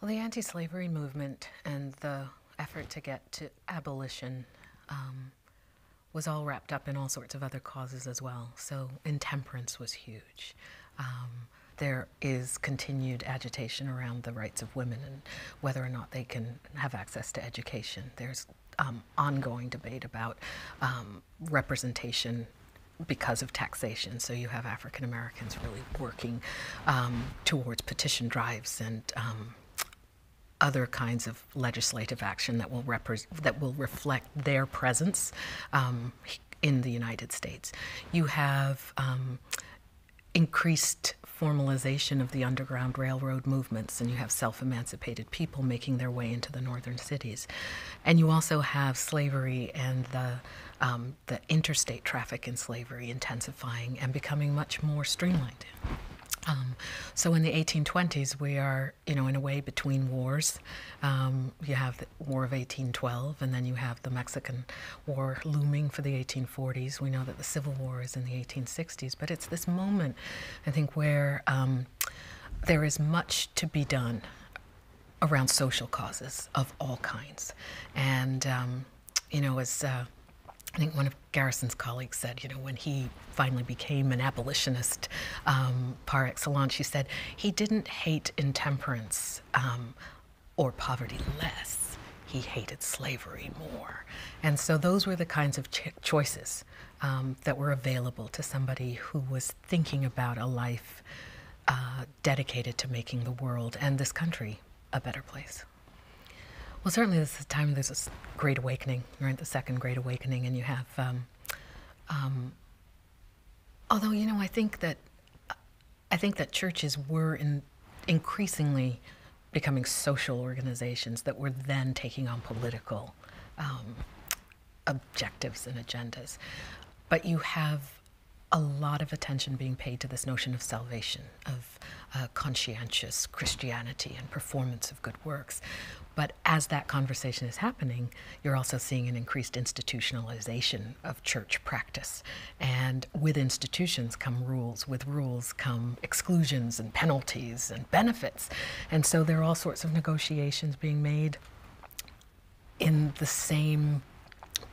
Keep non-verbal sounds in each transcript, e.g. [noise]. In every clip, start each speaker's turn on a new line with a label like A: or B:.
A: Well, the anti slavery movement and the effort to get to abolition um, was all wrapped up in all sorts of other causes as well. So, intemperance was huge. Um, there is continued agitation around the rights of women and whether or not they can have access to education. There's um, ongoing debate about representation because of taxation. So you have African Americans really working um, towards petition drives and um, other kinds of legislative action that will that will reflect their presence um, in the United States. You have increased formalization of the Underground Railroad movements, and you have self emancipated people making their way into the northern cities. And you also have slavery and the um, the interstate traffic in slavery intensifying and becoming much more streamlined. Um, so in the 1820s, we are, you know, in a way between wars. Um, you have the War of 1812, and then you have the Mexican War looming for the 1840s. We know that the Civil War is in the 1860s, but it's this moment, I think, where there is much to be done around social causes of all kinds. And, um, you know, as uh, I think one of Garrison's colleagues said, you know, when he finally became an abolitionist um, par excellence, he said, he didn't hate intemperance um, or poverty less. He hated slavery more. And so those were the kinds of choices that were available to somebody who was thinking about a life uh, dedicated to making the world and this country a better place. Well, certainly this is a time there's this great awakening, right? The second great awakening, and you have, um, um, although you know, I think that I think that churches were increasingly becoming social organizations that were then taking on political um, objectives and agendas. But you have a lot of attention being paid to this notion of salvation, of uh, conscientious Christianity and performance of good works. But as that conversation is happening, you're also seeing an increased institutionalization of church practice. And with institutions come rules, with rules come exclusions and penalties and benefits. And so there are all sorts of negotiations being made in the same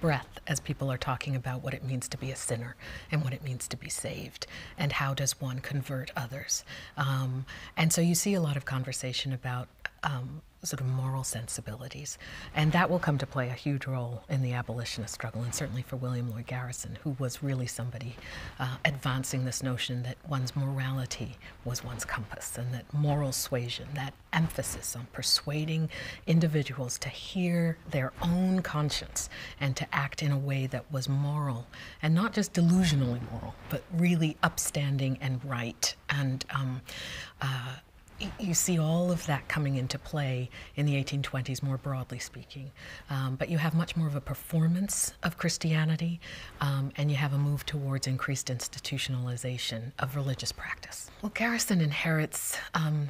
A: breath as people are talking about what it means to be a sinner and what it means to be saved and how does one convert others. Um, and so you see a lot of conversation about um, sort of moral sensibilities. And that will come to play a huge role in the abolitionist struggle, and certainly for William Lloyd Garrison, who was really somebody uh, advancing this notion that one's morality was one's compass and that moral suasion, that emphasis on persuading individuals to hear their own conscience and to act in a way that was moral and not just delusionally moral, but really upstanding and right. And um, uh, you see all of that coming into play in the 1820s, more broadly speaking. Um, but you have much more of a performance of Christianity, um, and you have a move towards increased institutionalization of religious practice. Well, Garrison inherits. Um,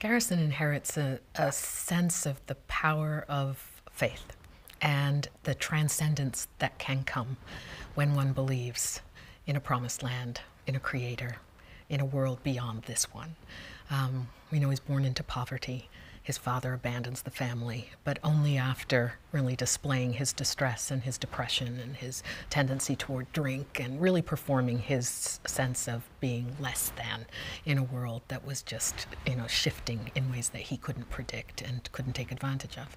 A: Garrison inherits a, sense of the power of faith and the transcendence that can come when one believes in a promised land, in a creator, in a world beyond this one. Um, we know he's born into poverty. His father abandons the family, but only after really displaying his distress and his depression and his tendency toward drink and really performing his sense of being less than in a world that was just, you know, shifting in ways that he couldn't predict and couldn't take advantage of.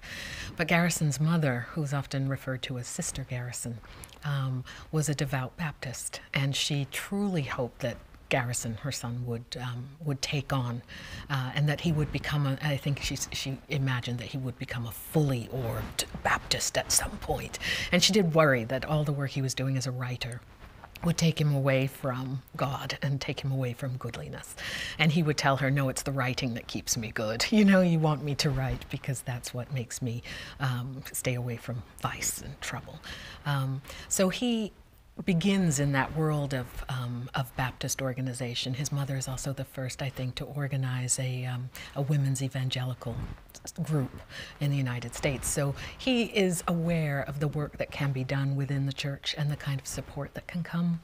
A: But Garrison's mother, who's often referred to as Sister Garrison, um, was a devout Baptist, and she truly hoped that Garrison, her son, would um, would take on, uh, and that he would become I think she she imagined that he would become a fully orbed Baptist at some And she did worry that all the work he was doing as a writer would take him away from God and take him away from goodliness. And he would tell her, No, it's the writing that keeps me good. [laughs] You know, you want me to write because that's what makes me um, stay away from vice and trouble. Um, so he begins in that world of, um, of Baptist organization. His mother is also the first, I think, to organize um, a, women's evangelical group in the United States. So he is aware of the work that can be done within the church and the kind of support that can come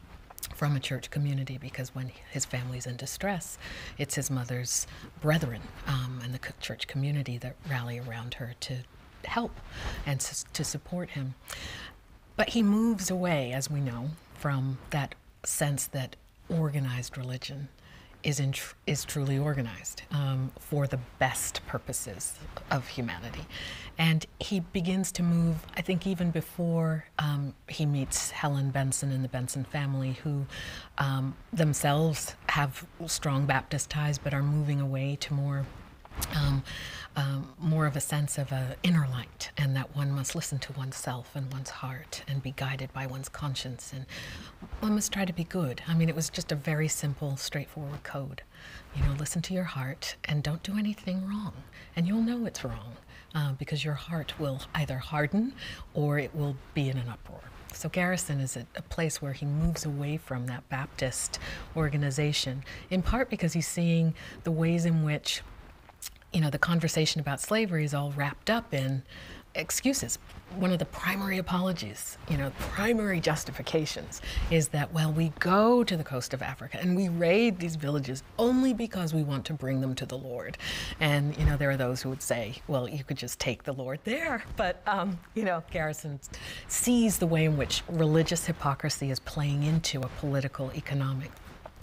A: from a church community because when his family's in distress, it's his mother's brethren um, and the church community that rally around her to help and to support him. But he moves away, as we know, from that sense that organized religion is is truly organized um, for the best purposes of humanity, and he begins to move. I think even before um, he meets Helen Benson and the Benson family, who um, themselves have strong Baptist ties, but are moving away to more. more of a sense of an inner light, and that one must listen to oneself and one's heart and be guided by one's conscience. And one must try to be good. I mean, it was just a very simple, straightforward code. You know, listen to your heart and don't do anything wrong. And you'll know it's wrong uh, because your heart will either harden or it will be in an uproar. So Garrison is a, place where he moves away from that Baptist organization, in part because he's seeing the ways in which you know, the conversation about slavery is all wrapped up in excuses. One of the primary apologies, you know, primary justifications is that, well, we go to the coast of Africa and we raid these villages only because we want to bring them to the Lord. And, you know, there are those who would say, well, you could just take the Lord there. But, um, you know, Garrison sees the way in which religious hypocrisy is playing into a political, economic,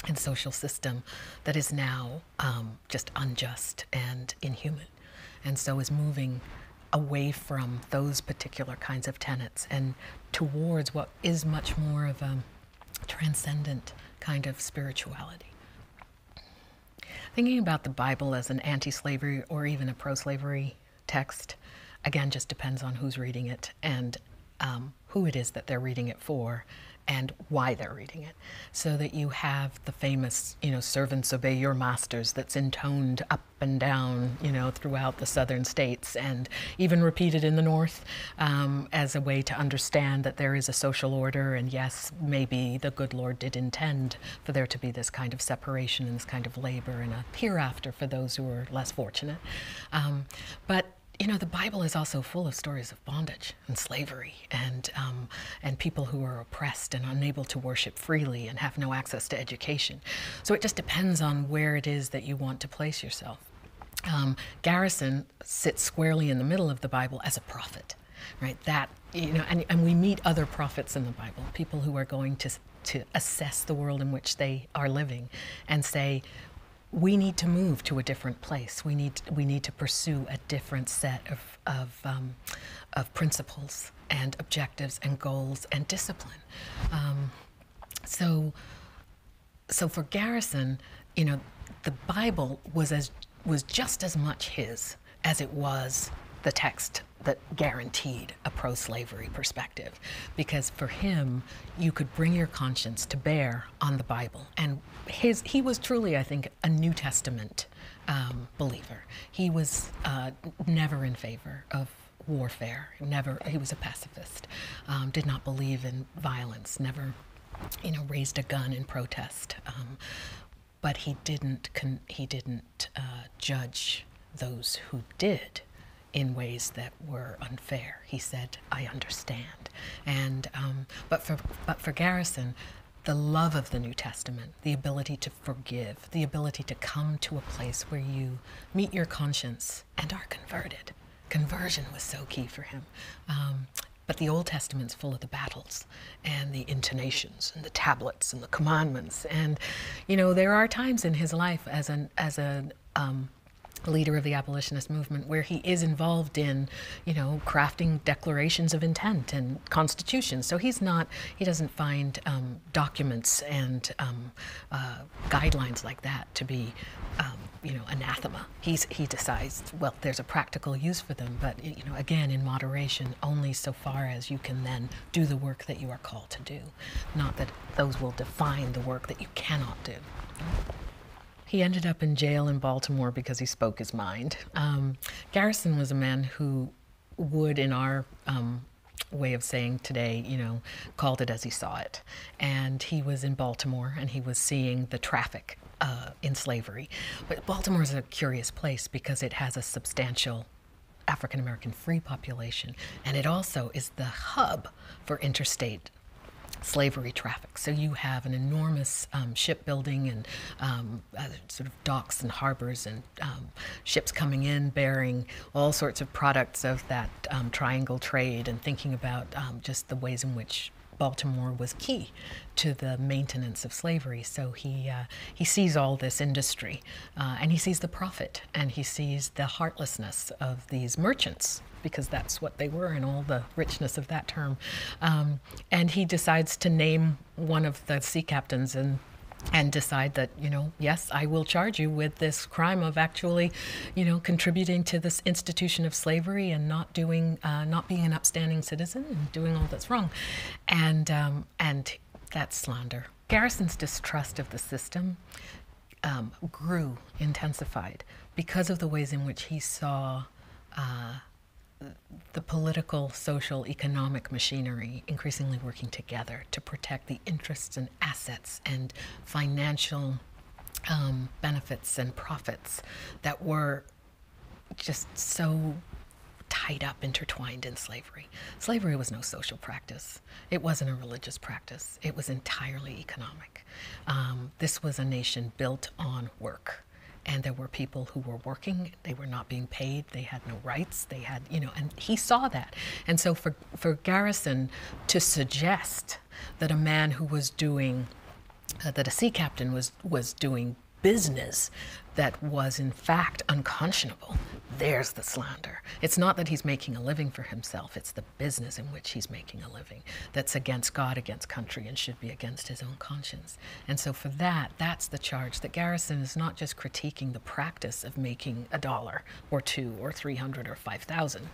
A: and social system that is now um, just unjust and inhuman. And so is moving away from those particular kinds of tenets and towards what is much more of a transcendent kind of spirituality. Thinking about the Bible as an anti slavery or even a pro slavery text, again, just depends on who's reading it and um, who it is that they're reading it for and why they're reading it so that you have the famous, you know, servants obey your masters that's intoned up and down, you know, throughout the southern states and even repeated in the north um, as a way to understand that there is a social order. And yes, maybe the good Lord did intend for there to be this kind of separation and this kind of labor and a hereafter for those who are less fortunate. Um, but you know, the Bible is also full of stories of bondage and slavery and, um, and people who are oppressed and unable to worship freely and have no access to education. So it just depends on where it is that you want to place yourself. Um, Garrison sits squarely in the middle of the Bible as a prophet, right? That, you know, and, we meet other prophets in the Bible, people who are going to, to assess the world in which they are living and say, we need to move to a different place. We need, we need to pursue a different set of, um, of, principles and objectives and goals and discipline. Um, so, so for Garrison, you know, the Bible was as was just as much his as it was the text that guaranteed a pro slavery perspective. Because for him, you could bring your conscience to bear on the Bible. And his, he was truly, I think, a New Testament um, believer. He was uh, never in favor of warfare. Never, he was a pacifist. Um, did not believe in violence. Never, you know, raised a gun in protest. Um, but he didn't. he didn't uh, judge those who did in ways that were unfair. He said, "I understand." And but for but for Garrison, the love of the New Testament, the ability to forgive, the ability to come to a place where you meet your conscience and are converted. Conversion was so key for him. Um, but the Old Testament's full of the battles and the intonations and the tablets and the commandments. And, you know, there are times in his life as an, as a, um, leader of the abolitionist movement where he is involved in, you know, craft drafting declarations of intent and constitutions. So he's not, he doesn't find um, documents and um, uh, guidelines like that to be, um, you know, anathema. he decides, well, there's a practical use for them, but, you know, again, in moderation, only so far as you can then do the work that you are called to do. Not that those will define the work that you cannot do. He ended up in jail in Baltimore because he spoke his mind. Um, Garrison was a man who would, in our um, way of saying today, you know, called it as he saw it. And he was in Baltimore and he was seeing the traffic uh, in slavery. But Baltimore is a curious place because it has a substantial African American free population, and it also is the hub for interstate slavery traffic. So you have an enormous um, shipbuilding and um, uh, sort of docks and harbors and um, ships coming in bearing all sorts of products of that triangle trade and thinking about just the ways in which Baltimore was key to the maintenance of slavery. So he uh, he sees all this industry, uh, and he sees the profit, and he sees the heartlessness of these merchants because that's what they were, and all the richness of that term and he decides to name one of the sea captains and and decide that you know yes i will charge you with this crime of actually you know contributing to this institution of slavery and not doing uh, not being an upstanding citizen and doing all that's wrong and um, and that's slander garrison's distrust of the system um, grew intensified because of the ways in which he saw uh, the political, social, economic machinery increasingly working together to protect the interests and assets and financial um, benefits and profits that were just so tied up, intertwined in slavery. Slavery was no social practice, it wasn't a religious practice, it was entirely economic. Um, this was a nation built on work and there were people who were working they were not being paid they had no rights they had you know and he saw that and so for for garrison to suggest that a man who was doing uh, that a sea captain was was doing business that was in fact unconscionable there's the slander it's not that he's making a living for himself it's the business in which he's making a living that's against god against country and should be against his own conscience and so for that, that's the charge that Garrison is not just critiquing the practice of making a dollar or two or 300 or 5,000.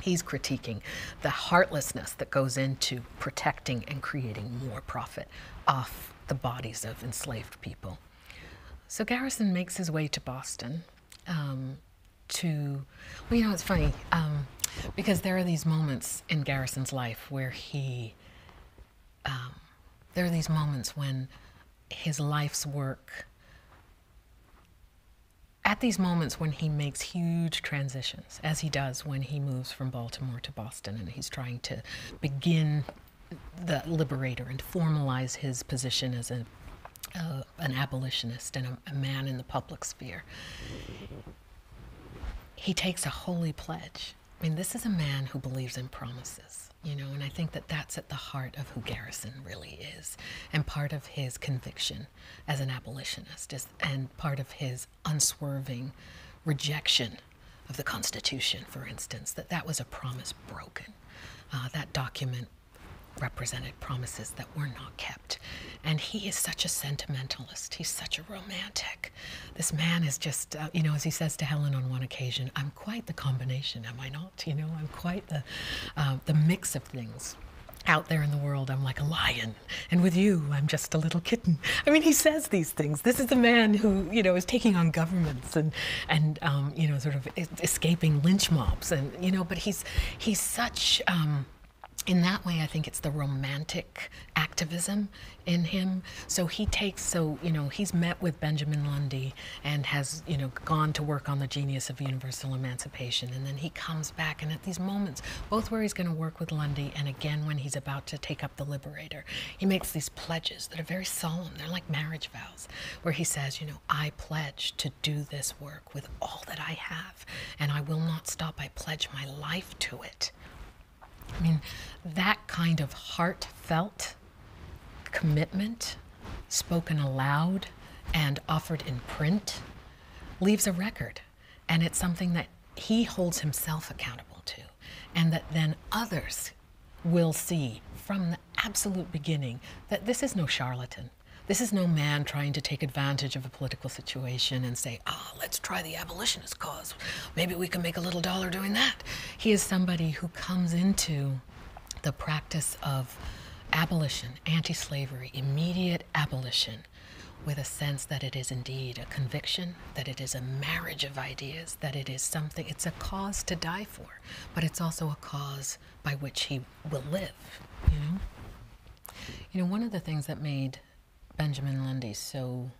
A: He's critiquing the heartlessness that goes into protecting and creating more profit off the bodies of enslaved people. So Garrison makes his way to Boston um, to, well, you know, it's funny um, because there are these moments in Garrison's life where he um, there are these moments when his life's work, at these moments when he makes huge transitions, as he does when he moves from Baltimore to Boston and he's trying to begin the liberator and formalize his position as a, an abolitionist and a man in the public sphere. He takes a holy pledge I mean, this is a man who believes in promises, you know, and I think that that's at the heart of who Garrison really is, and part of his conviction as an abolitionist, and part of his unswerving rejection of the Constitution, for instance, that that was a promise broken. Uh, that document represented promises that were not kept. And he is such a sentimentalist, he's such a romantic. This man is just, uh, you know, as he says to Helen on one occasion, I'm quite the combination, am I not? You know, I'm quite the, uh, the mix of things out there in the world, I'm like a lion, and with you, I'm just a little kitten. I mean, he says these things. This is a man who, you know, is taking on governments and, and um, you know, sort of escaping lynch mobs, and you know, but he's he's such. Um, in that way, I think it's the romantic activism in him. So he takes so you know he's met with Benjamin Lundy and has you know gone to work on the genius of universal emancipation, and then he comes back and at these moments, both where he's going to work with Lundy and again when he's about to take up the Liberator, he makes these pledges that are very solemn. They're like marriage vows, where he says, you know, I pledge to do this work with all that I have, and I will not stop. I pledge my life to it I mean, that kind of heartfelt commitment, spoken aloud and offered in print, leaves a record. And it's something that he holds himself accountable to, and that then others will see from the absolute beginning that this is no charlatan. This is no man trying to take advantage of a political situation and say, Ah, let's try the abolitionist cause. Maybe we can make a little dollar doing that. He is somebody who comes into the practice of abolition, anti slavery, immediate abolition, with a sense that it is indeed a conviction, that it is a marriage of ideas, that it is something, it's a cause to die for, but it's also a cause by which he will live, you know? You know, one of the things that made Benjamin Lundy so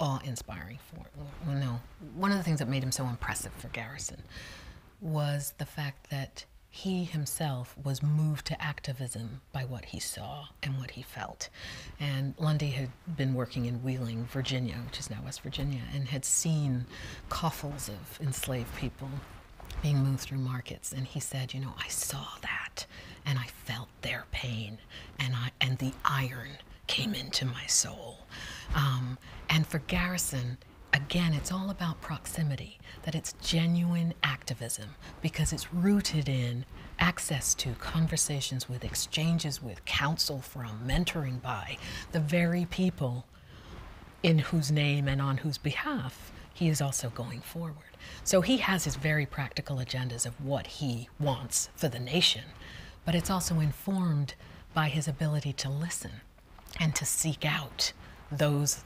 A: awe-inspiring for well no one of the things that made him so impressive for garrison was the fact that he himself was moved to activism by what he saw and what he felt. And Lundy had been working in Wheeling, Virginia, which is now West Virginia, and had seen coffles of enslaved people being moved through markets. And he said, You know, I saw that and I felt their pain, and I and the iron came into my soul. Um, and for Garrison, again, it's all about proximity, that it's genuine activism because it's rooted in access to conversations with, exchanges with, counsel from, mentoring by the very people in whose name and on whose behalf he is also going forward. So he has his very practical agendas of what he wants for the nation, but it's also informed by his ability to listen and to seek out those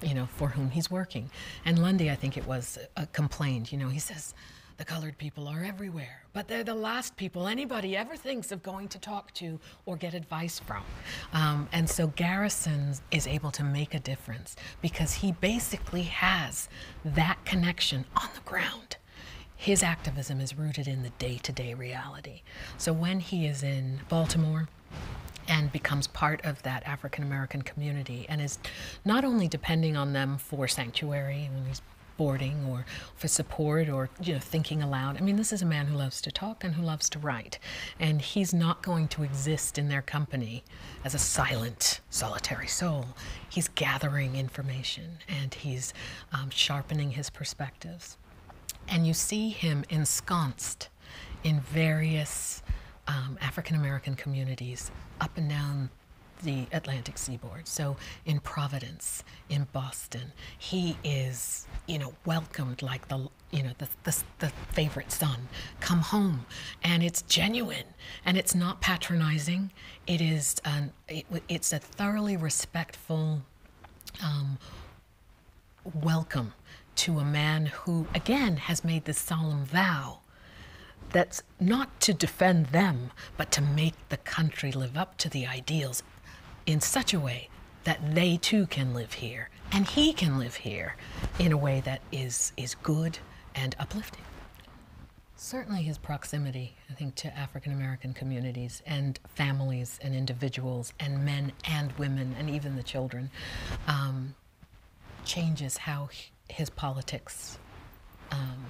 A: you know, for whom he's working. And Lundy, I think it was, uh, complained, you know, he says, the colored people are everywhere, but they're the last people anybody ever thinks of going to talk to or get advice from. Um, and so Garrison is able to make a difference because he basically has that connection on the ground. His activism is rooted in the day to day reality. So when he is in Baltimore, and becomes part of that African American community and is not only depending on them for sanctuary when he's boarding or for support or you know thinking aloud. I mean, this is a man who loves to talk and who loves to write, and he's not going to exist in their company as a silent, solitary soul, he's gathering information and he's um, sharpening his perspectives. And you see him ensconced in various um, African American communities up and down the Atlantic seaboard. So in Providence, in Boston, he is, you know, welcomed like the, you know, the favorite son. Come home. And it's genuine and it's not patronizing it is it's a thoroughly respectful um, welcome to a man who again has made this solemn vow that's not to defend them but to make the country live up to the ideals in such a way that they too can live here and he can live here in a way that is is good and uplifting Certainly, his proximity, I think, to African American communities and families and individuals and men and women and even the children um, changes how his politics um,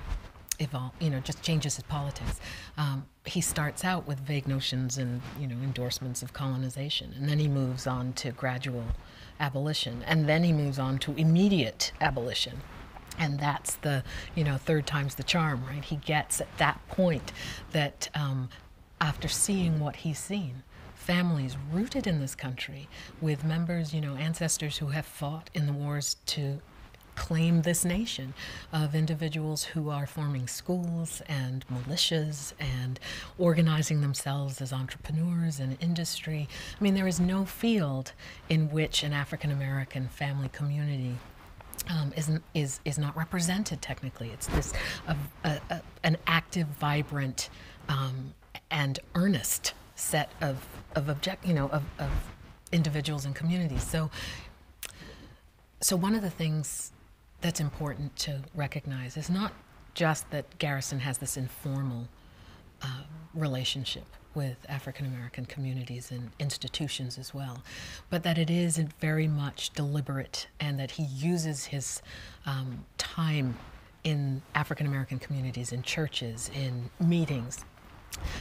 A: evolve. You know, just changes his politics. Um, he starts out with vague notions and you know endorsements of colonization, and then he moves on to gradual abolition. And then he moves on to immediate abolition. And that's the, you know, third time's the charm, right? He gets at that point that um, after seeing what he's seen, families rooted in this country with members, you know, ancestors who have fought in the wars to claim this nation of individuals who are forming schools and militias and organizing themselves as entrepreneurs and industry. I mean, there is no field in which an African American family community um, is, is, is not represented technically. It's this an active, vibrant, um, and earnest set of, of object, you know, of individuals and communities. So, so one of the things that's important to recognize is not just that Garrison has this informal uh, relationship with African American communities and institutions as well, but that it is very much deliberate and that he uses his um, time in African American communities, in churches, in meetings,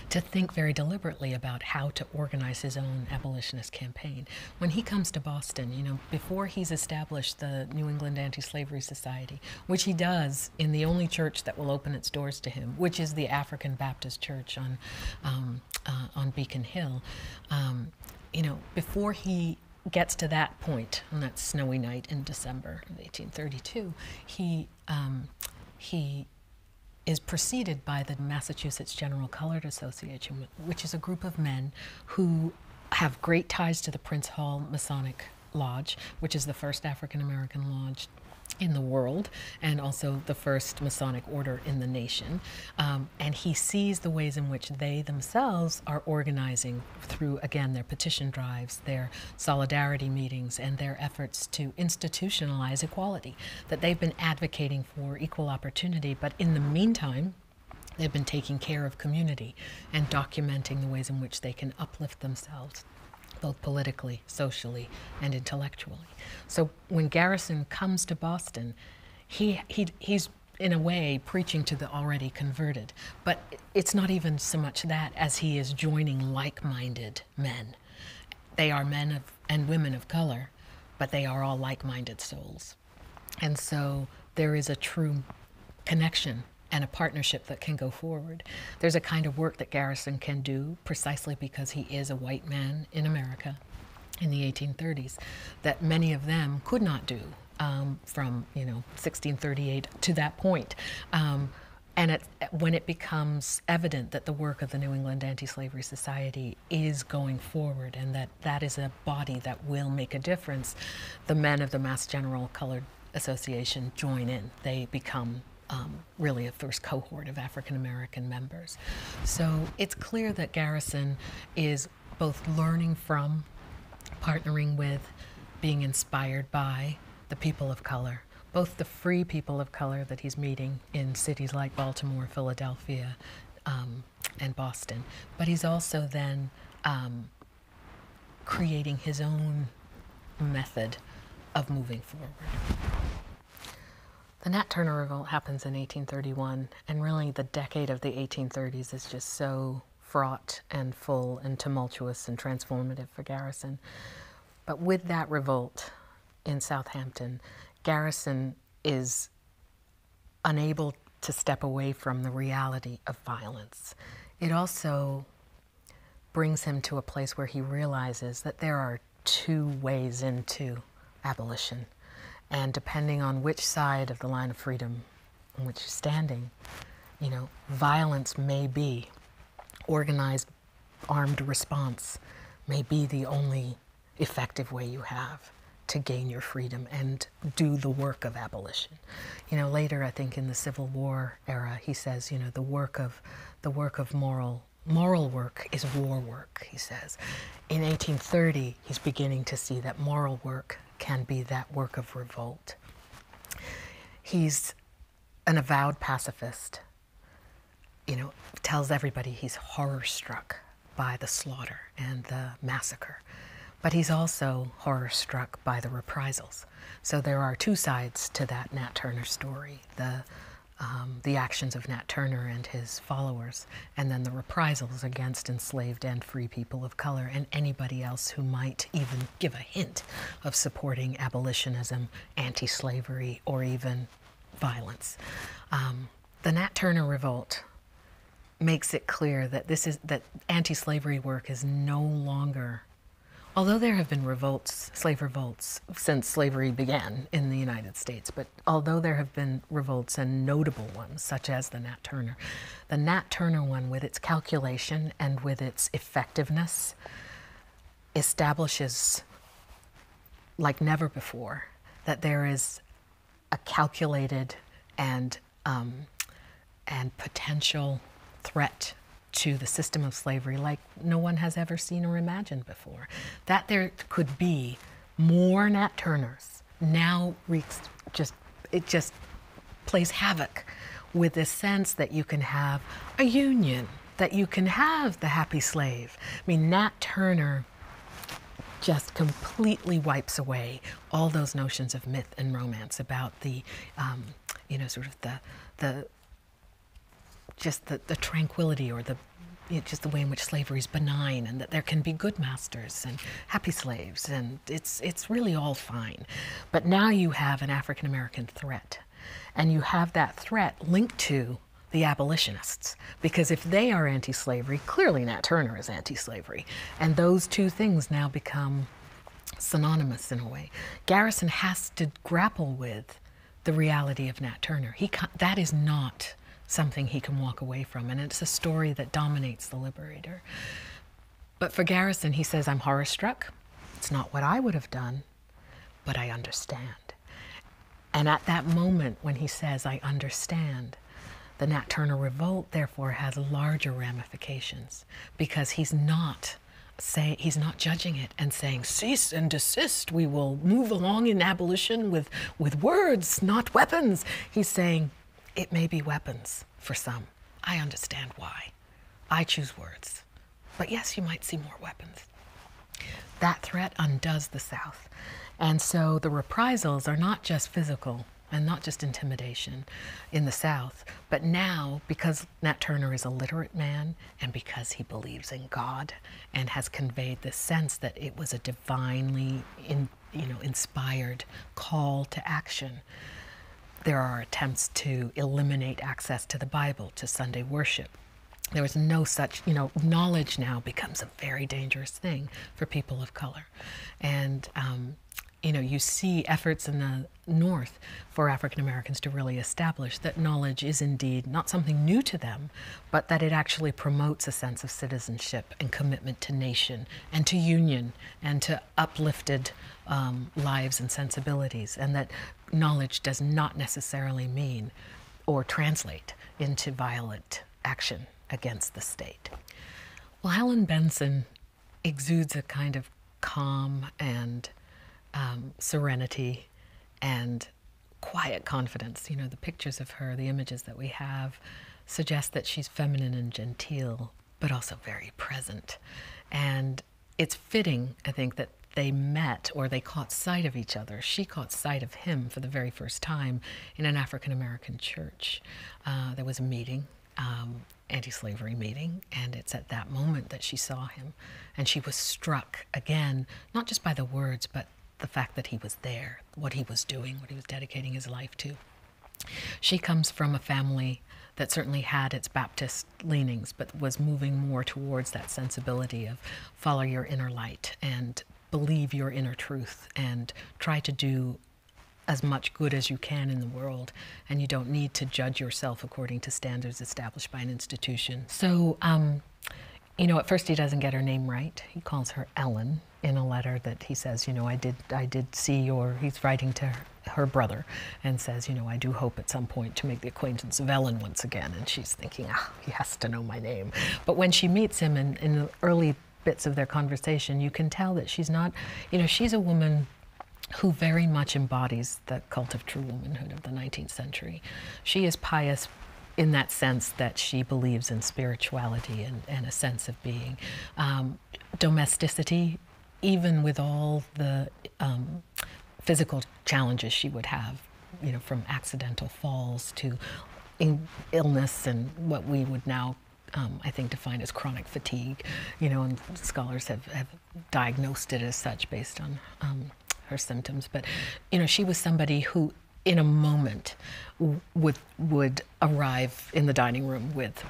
A: to think very deliberately about how to organize his own abolitionist campaign. When he comes to Boston, you know, before he's established the New England Anti Slavery Society, which he does in the only church that will open its doors to him, which is the African Baptist Church on um, uh, on Beacon Hill. Um, you know, before he gets to that point on that snowy night in December of 1832, he um, he is preceded by the Massachusetts General Colored Association, which is a group of men who have great ties to the Prince Hall Masonic Lodge, which is the first African American lodge in the world and also the first Masonic order in the nation. Um, and he sees the ways in which they themselves are organizing through, again, their petition drives, their solidarity meetings, and their efforts to institutionalize equality, that they've been advocating for equal opportunity. But in the meantime, they've been taking care of community and documenting the ways in which they can uplift themselves both politically, socially, and intellectually. So when Garrison comes to Boston, he, he, he's in a way preaching to the already converted. But it's not even so much that as he is joining like minded men. They are men of, and women of color, but they are all like minded souls. And so there is a true connection and a partnership that can go forward. There's a kind of work that Garrison can do precisely because he is a white man in America in the 1830s that many of them could not do um, from you know 1638 to that point. Um, and when it becomes evident that the work of the New England Anti-Slavery Society is going forward and that that is a body that will make a difference, the men of the Mass General Colored Association join in. They become um, really a first cohort of African American members. So it's clear that Garrison is both learning from, partnering with, being inspired by the people of color, both the free people of color that he's meeting in cities like Baltimore, Philadelphia, um, and Boston, but he's also then um, creating his own method of moving forward. The Nat Turner Revolt happens in 1831, and really the decade of the 1830s is just so fraught and full and tumultuous and transformative for Garrison. But with that revolt in Southampton, Garrison is unable to step away from the reality of violence. It also brings him to a place where he realizes that there are two ways into abolition. And depending on which side of the line of freedom on which you're standing, you know, violence may be, organized armed response may be the only effective way you have to gain your freedom and do the work of abolition. You know, later, I think in the Civil War, era. He says, you know, the work of the work of moral moral work is war work. He says, in 1830, he's beginning to see that moral work can be that work of revolt. He's an avowed pacifist. You know, tells everybody he's horror struck by the slaughter and the massacre, but he's also horror struck by the reprisals so there are two sides to that Nat Turner story the, um, the actions of Nat Turner and his followers, and then the reprisals against enslaved and free people of color and anybody else who might even give a hint of supporting abolitionism, anti slavery, or even violence. Um, the Nat Turner revolt makes it clear that this is that anti-slavery work is no longer Although there have been revolts, slave revolts, since slavery began in the United States, but although there have been revolts and notable ones, such as the Nat Turner, the Nat Turner one, with its calculation and with its effectiveness, establishes, like never before, that there is a calculated and, um, and potential threat to the system of slavery like no one has ever seen or imagined before. That there could be more Nat Turners now wreaks just, it just plays havoc with the sense that you can have a union, that you can have the happy slave. I mean, Nat Turner just completely wipes away all those notions of myth and romance about the, um, you know, sort of the, the, just the, tranquility or the just the way in which slavery is benign and that there can be good masters and happy slaves and it's it's really all fine but now you have an african american threat and you have that threat linked to the abolitionists because if they are anti-slavery clearly nat turner is anti-slavery and those two things now become synonymous in a way garrison has to grapple with the reality of Nat Turner. He that is not something he can walk away from, and it's a story that dominates the Liberator. But for Garrison, he says, I'm horror struck. It's not what I would have done, but I understand. And at that moment when he says, I understand, the Nat Turner revolt, therefore, has larger ramifications because he's not Say he's not judging it and saying cease and desist we will move along in abolition with with words not weapons he's saying it may be weapons for some i understand why i choose words but yes you might see more weapons that threat undoes the south and so the reprisals are not just physical and not just intimidation in the South, but now because Nat Turner is a literate man, and because he believes in God and has conveyed the sense that it was a divinely you know, inspired call to action, there are attempts to eliminate access to the Bible, to Sunday worship. There is no such, you know, knowledge now becomes a very dangerous thing for people of color. And um, you know, you see efforts in the north for African Americans to really establish that knowledge is indeed not something new to them, but that it actually promotes a sense of citizenship and commitment to nation and to union and to uplifted um, lives and sensibilities, and that knowledge does not necessarily mean or translate into violent action against the state. Well, Helen Benson exudes a kind of calm and um, serenity and quiet confidence. You know, the pictures of her, the images that we have, suggest that she's feminine and genteel, but also very present. And it's fitting, I think, that they met or they caught sight of each other. She caught sight of him for the very first time in an African American church. Uh, there was a meeting, um, anti slavery meeting, and it's at that moment that she saw him and she was struck again, not just by the words, but the fact that he was there, what he was doing, what he was dedicating his life to. She comes from a family that certainly had its Baptist leanings, but was moving more towards that sensibility of follow your inner light and believe your inner truth and try to do as much good as you can in the world. And you don't need to judge yourself according to standards established by an institution. So, um, you know, at first he doesn't get her name right. He calls her Ellen in a letter that he says, you know, I did, I did see your. He's writing to her, brother and says, you know, I do hope at some point to make the acquaintance of Ellen once again. And she's thinking, ah, oh, he has to know my name. But when she meets him in, in the early bits of their conversation, you can tell that she's not, you know, she's a woman who very much embodies the cult of true womanhood of the 19th century she is pious in that sense that she believes in spirituality and, a sense of being. Um, domesticity, even with all the um, physical challenges she would have, you know, from accidental falls to illness and what we would now um, I think define as chronic fatigue, you know, and scholars have diagnosed it as such based on um, her symptoms. But you know, she was somebody who, in a moment, would would arrive in the dining room with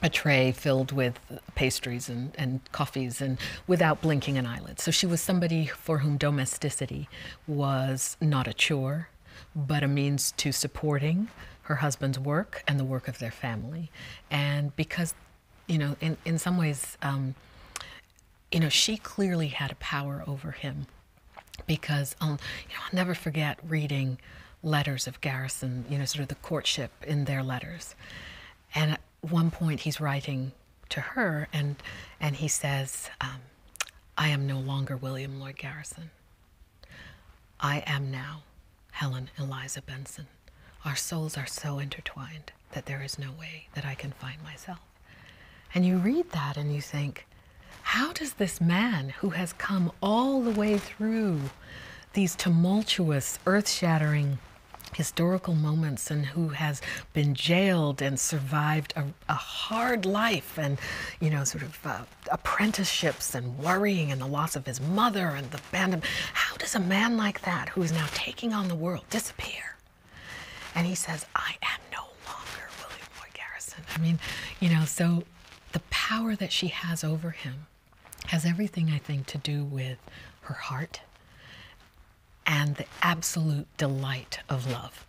A: a tray filled with pastries and, and coffees and without blinking an eyelid. So she was somebody for whom domesticity was not a chore, but a means to supporting her husband's work and the work of their family. And because you know, in, in some ways, um, you know, she clearly had a power over him because, um, you know, I'll never forget reading letters of Garrison, you know, sort of the courtship in their letters. And at one point he's writing to her and, and he says, um, I am no longer William Lloyd Garrison. I am now Helen Eliza Benson. Our souls are so intertwined that there is no way that I can find myself. And you read that and you think, how does this man who has come all the way through these tumultuous, earth shattering historical moments and who has been jailed and survived a, hard life and, you know, sort of uh, apprenticeships and worrying and the loss of his mother and the band, how does a man like that who is now taking on the world disappear? And he says, I am no longer William Lloyd Garrison. I mean, you know, so the power that she has over him has everything, I think, to do with her heart and the absolute delight of love.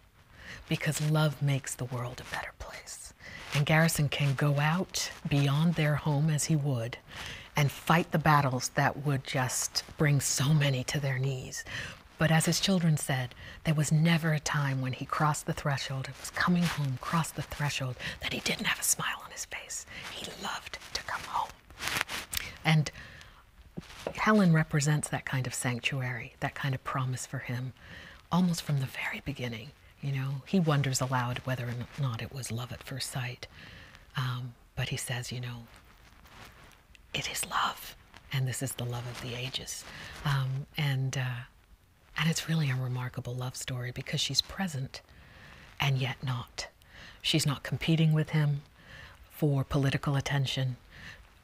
A: Because love makes the world a better place. And Garrison can go out beyond their home as he would and fight the battles that would just just brings so many to their knees. But as his children said, there was never a time when he crossed the threshold, it was coming home, crossed the threshold, that he didn't have a smile on his face. He loved to come home. And Helen represents that kind of sanctuary, that kind of promise for him, almost from the very beginning. You know, he wonders aloud whether or not it was love at first sight. Um, but he says, you know, it is love, and this is the love of the ages, um, and uh, and it's really a remarkable love story because she's present, and yet not. She's not competing with him for political attention,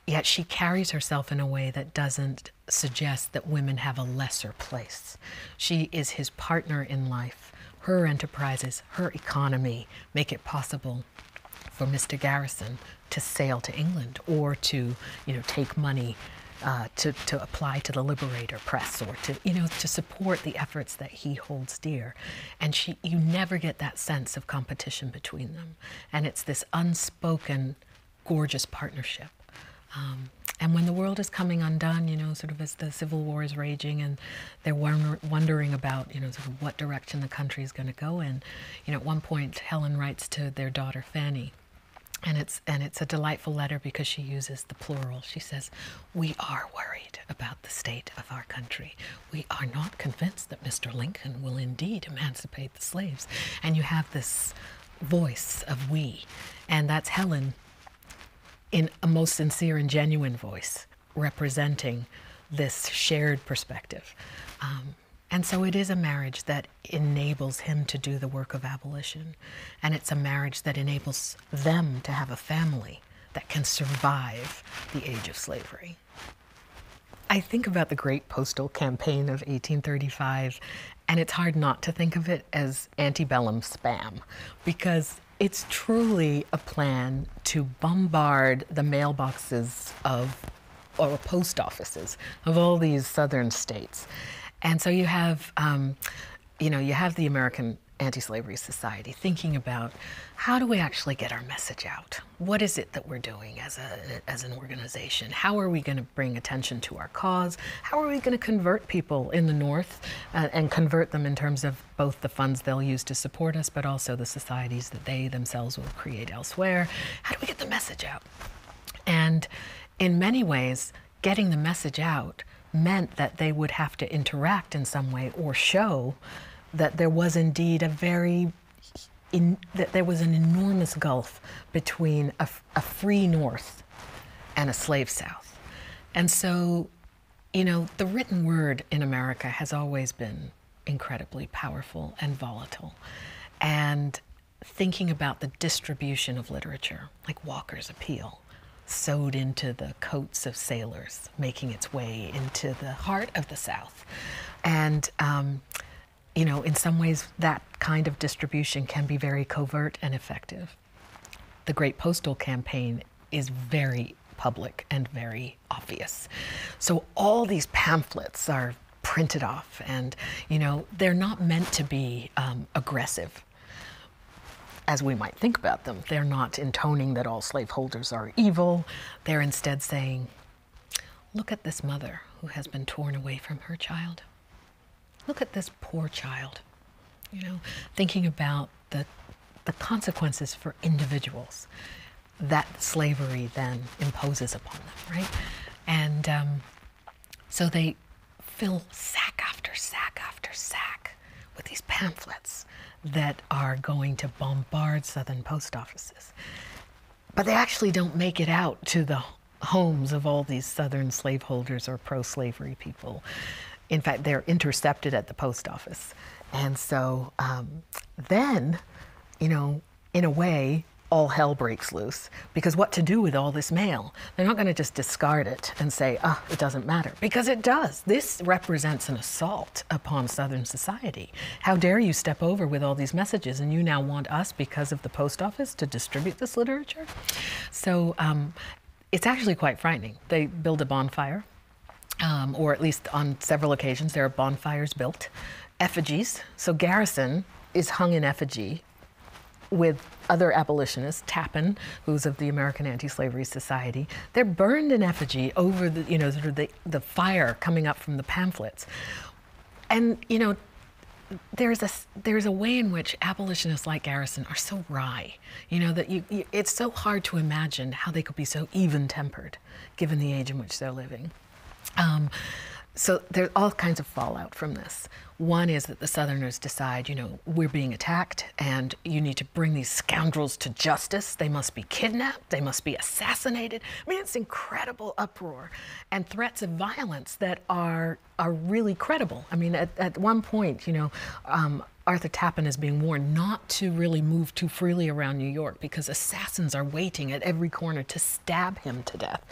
A: yet she carries herself in a way that doesn't suggest that women have a lesser place. She is his partner in life. Her enterprises, her economy make it possible for Mr. Garrison to sail to England or to, you know, take money uh, to, to apply to the Liberator Press or to, you know, to support the efforts that he holds dear. And she, you never get that sense of competition between them. And it's this unspoken, gorgeous partnership. Um, and when the world is coming undone, you know, sort of as the Civil War is raging and they're wondering about you know what direction the country is going to go in. You know, at one point Helen writes to their daughter Fanny, and it's and it's a delightful letter because she uses the plural. She says, "We are worried about the state of our country. We are not convinced that Mr. Lincoln will indeed emancipate the slaves." And you have this voice of we, and that's Helen in a most sincere and genuine voice representing this shared perspective. Um, and so it is a marriage that enables him to do the work of abolition. And it's a marriage that enables them to have a family that can survive the age of slavery. I think about the great postal campaign of 1835, and it's hard not to think of it as antebellum spam because it's truly a plan to bombard the mailbox of, or post offices of all these southern states. And so you have, um, you know, you have the American Anti-Slavery Society thinking about how do we actually get our message out? What is it that we're doing as, a, as an organization? How are we going to bring attention to our cause? How are we going to convert people in the North uh, and convert them in terms of both the funds they'll use to support us, but also the societies that they themselves will create elsewhere. How do we get the message out? And in many ways, getting the message out meant that they would have to interact in some way or show that there was indeed a very that there was an enormous gulf between a free North and a slave South. And so, you know, the written word in America has always been incredibly powerful and volatile. And thinking about the distribution of literature, like Walker's Appeal, sewed into the coats of sailors, making its way into the heart of the South. And, um, you know, in some ways, that kind of distribution can be very covert and effective. The Great Postal Campaign is very public and very obvious. So all these pamphlets are printed off and you know they're not meant to be um, aggressive as we might think about them. They're not intoning that all slaveholders are evil. They're instead saying, look at this mother who has been torn away from her child. Look at this poor child, you know, thinking about the, the consequences for individuals that slavery then imposes upon them, right? And um, so they fill sack after sack after sack with these pamphlets that are going to bombard southern post offices. But they actually don't make it out to the homes of all these southern slaveholders or pro slavery people. In fact, they're intercepted at the post office. And so um, then you know, in a way, all hell breaks loose because what to do with all this mail? They're not going to just discard it and say, ah, it doesn't matter, because it does. This represents an assault upon Southern society. How dare you step over with all these messages and you now want us, because of the post office, to distribute this literature? So um, it's actually quite frightening. They build a bonfire um, or at least on several occasions, there are bonfires built, effigies. So Garrison is hung in effigy with other abolitionists, Tappan, who's of the American Anti-Slavery Society. They're burned in effigy over the, you know, sort of the, the fire coming up from the pamphlets. And, you know, there's a there's a way in which abolitionists like Garrison are so wry, you know that you, it's so hard to imagine how they could be so even-tempered given the age in which they're living. Um, so there's all kinds of fallout from this. One is that the Southerners decide, you know, we're being attacked and you need to bring these scoundrels to justice. They must be kidnapped. They must be assassinated. I mean, it's incredible uproar and threats of violence that are are really credible. I mean, at, at one point, you know, um, Arthur Tappan is being warned not to really move too freely around New York because assassins are waiting at every corner to stab him to death.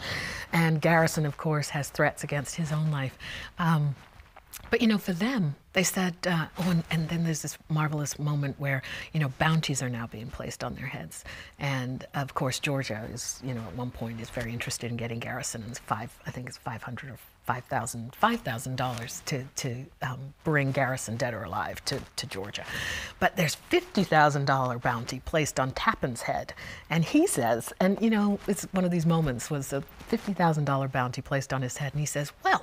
A: And Garrison, of course, has threats against his own life. Um, but you know, for them, they said, uh, oh, and, then there's this marvelous moment where, you know, bounties are now being placed on their heads. And of course, Georgia is, you know, at one point is very interested in getting Garrison and five, I think it's 500 or $5,000 to, to um, bring Garrison dead or alive to, to Georgia. But there's $50,000 bounty placed on Tappan's head. And he says, and you know, it's one of these moments was a $50,000 bounty placed on his head. And he says, well,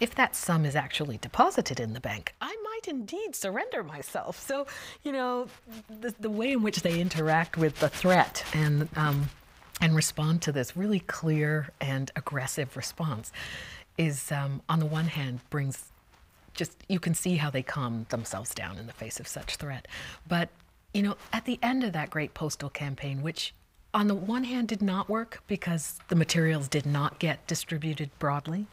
A: if that sum is actually deposited in the bank, I might indeed surrender myself. So, you know, the, the way in which they interact with the threat and, um, and respond to this really clear and aggressive response is, um, on the one hand, brings just you can see how they calm themselves down in the face of such threat. But you know, at the end of that great postal campaign, which on the one hand did not work because the materials did not get distributed broadly,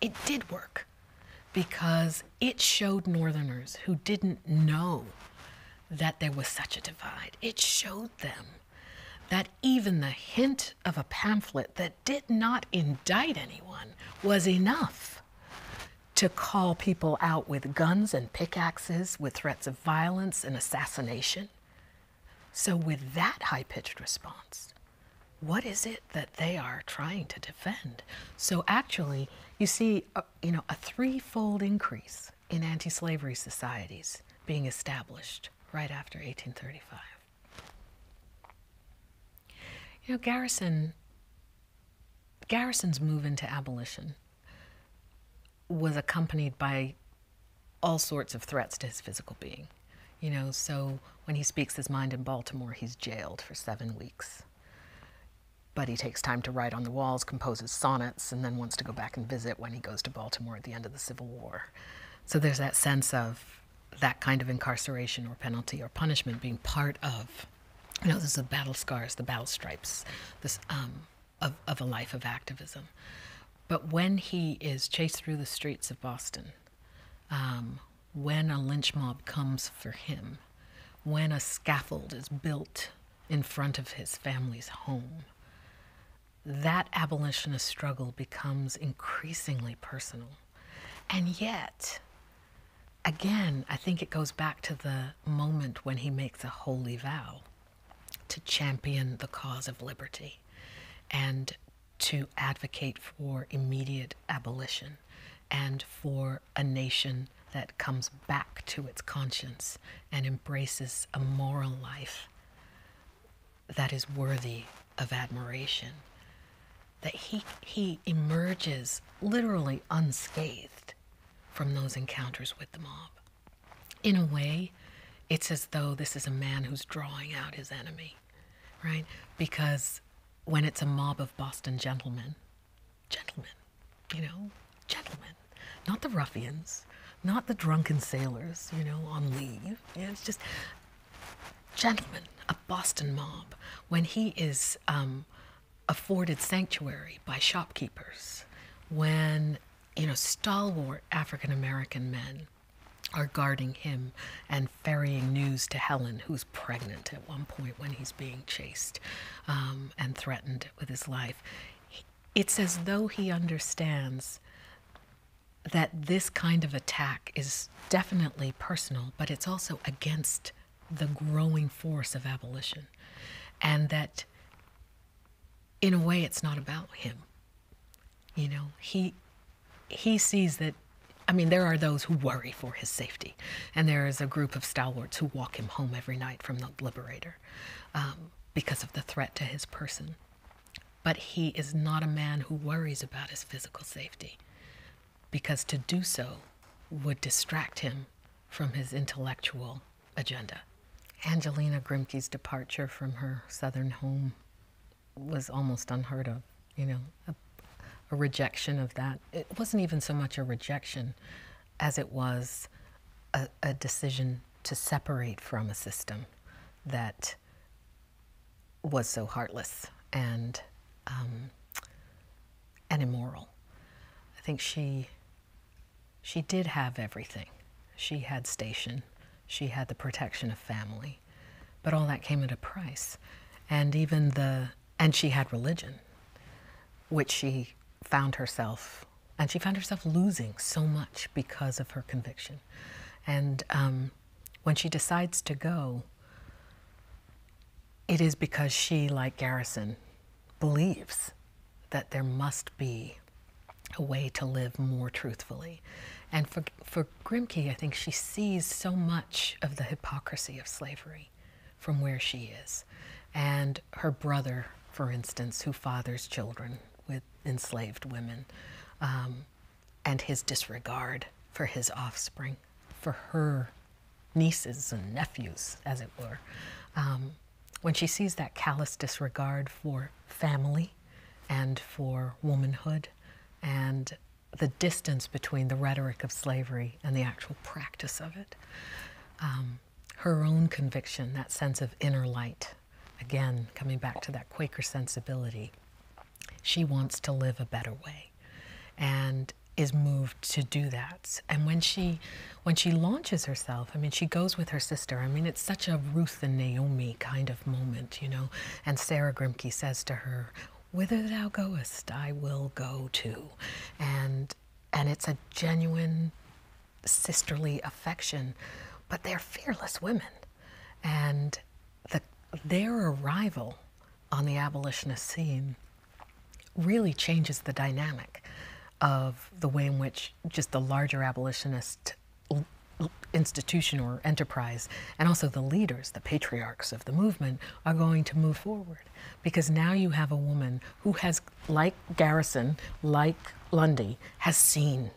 A: it did work because it showed Northerners who didn't know that there was such a divide. It showed them that even the hint of a pamphlet that did not indict anyone was enough to call people out with guns and pickaxes, with threats of violence and assassination. So, with that high pitched response, what is it that they are trying to defend? So, actually, you see, uh, you know, a threefold increase in anti-slavery societies being established right after 1835. You know, Garrison, Garrison's move into abolition was accompanied by all sorts of threats to his physical being. You know, so when he speaks his mind in Baltimore, he's jailed for seven weeks. But he takes time to write on the walls, composes sonnets, and then wants to go back and visit when he goes to Baltimore at the end of the Civil War. So there's that sense of that kind of incarceration or penalty or punishment being part of, you know, this is the battle scars, the battle stripes, this um, of, a life of activism. But when he is chased through the streets of Boston, um, when a lynch mob comes for him, when a scaffold is built in front of his family's home, that abolitionist struggle becomes increasingly personal and yet, again, I think it goes back to the moment when he makes a holy vow to champion the cause of liberty and to advocate for immediate abolition and for a nation that comes back to its conscience and embraces a moral life that is worthy of admiration. That he, he emerges literally unscathed from those encounters with the mob. In a way, it's as though this is a man who's drawing out his enemy, right? Because when it's a mob of Boston gentlemen, gentlemen, you know, gentlemen, not the ruffians, not the drunken sailors, you know, on leave. Yeah, It's just gentleman, a Boston mob, when he is um, afforded sanctuary by shopkeepers, when you know stalwart African American men are guarding him and ferrying news to Helen, who's pregnant at one point when he's being chased um, and threatened with his life. It's as though he understands that this kind of attack is definitely personal, but it's also against the growing force of abolition. And that in a way it's not about him. You know, he he sees that I mean, there are those who worry for his safety, and there is a group of stalwarts who walk him home every night from the Liberator um, because of the threat to his person. But he is not a man who worries about his physical safety, because to do so would distract him from his intellectual agenda. Angelina Grimke's departure from her southern home was almost unheard of, you know, a, rejection of that. It wasn't even so much a rejection as it was a decision to separate from a system that was so heartless and um, and immoral. I think she she did have everything. She had station. She had the protection of family, but all that came at a price. And even the and she had religion, which she found herself and she found herself losing so much because of her conviction. And um, when she decides to go, it is because she, like Garrison, believes that there must be a way to live more truthfully. And for, for Grimke, I think she sees so much of the hypocrisy of slavery from where she is. And her brother, for instance, who fathers children with enslaved women, um, and his disregard for his offspring, for her nieces and nephews, as it were. Um, when she sees that callous disregard for family and for womanhood and the distance between the rhetoric of slavery and the actual practice of it, um, her own conviction, that sense of inner light, again, coming back to that Quaker sensibility, she wants to live a better way and is moved to do that. And when she when she launches herself, I mean she goes with her sister. I mean it's such a Ruth and Naomi kind of moment, you know. And Sarah Grimke says to her, Whither thou goest, I will go too. And and it's a genuine sisterly affection, but they're fearless women. And the, their arrival on the abolitionist scene really changes the dynamic of the way in which just the larger abolitionist institution or enterprise and also the leaders the patriarchs of the movement are going to move forward because now you have a woman who has like garrison like lundy has seen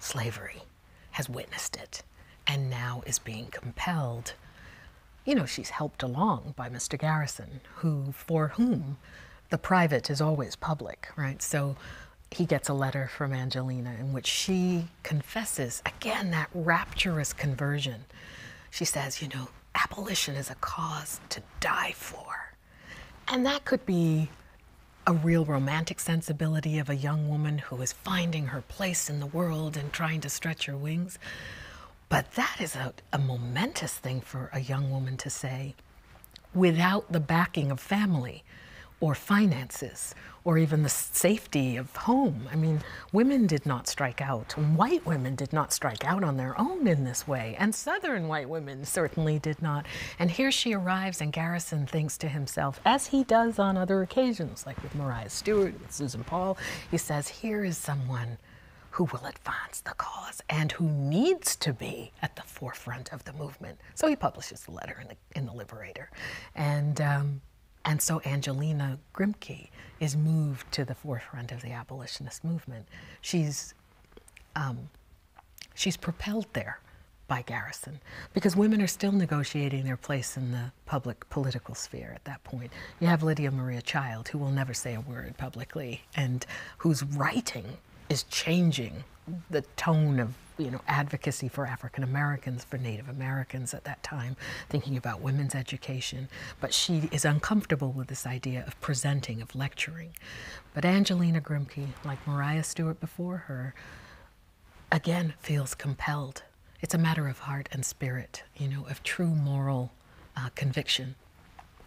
A: slavery has witnessed it and now is being compelled. You know, she's helped along by Mr. Garrison, who, for whom the private is always public, right? So he gets a letter from Angelina in which she confesses again that rapturous conversion. She says, you know, abolition is a cause to die for. And that could be a real romantic sensibility of a young woman who is finding her place in the world and trying to stretch her wings. But that is a, a momentous thing for a young woman to say without the backing of family or finances or even the safety of home. I mean, women did not strike out. White women did not strike out on their own in this way, and Southern white women certainly did not. And here she arrives, and Garrison thinks to himself, as he does on other occasions, like with Maria Stewart, and Susan Paul. He says, Here is someone who will advance the cause and who needs to be at the forefront of the movement. So he publishes the letter in the, in the Liberator. And, um, and so Angelina Grimke is moved to the forefront of the abolitionist movement. She's, um, she's propelled there by Garrison because women are still negotiating their place in the public political sphere at that point. You have Lydia Maria Child, who will never say a word publicly and whose writing is changing the tone of you know advocacy for African Americans, for Native Americans at that time, thinking about women's education. But she is uncomfortable with this idea of presenting, of lecturing. But Angelina Grimke, like Maria Stewart before her, again feels compelled. It's a matter of heart and spirit, you know, of true moral uh, conviction.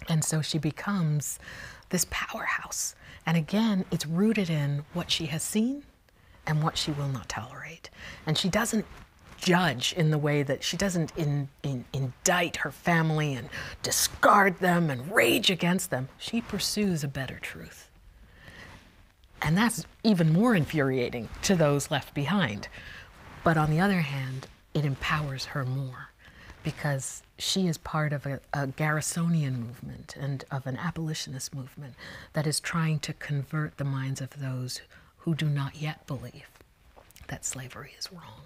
A: And so she becomes this powerhouse. And again, it's rooted in what she has seen and what she will not tolerate. And she doesn't judge in the way that she doesn't indict her family and discard them and rage against them. She pursues a better truth. And that's even more infuriating to those left behind. But on the other hand, it empowers her more because she is part of a, Garrisonian movement and of an abolitionist movement that is trying to convert the minds of those who do not yet believe that slavery is wrong.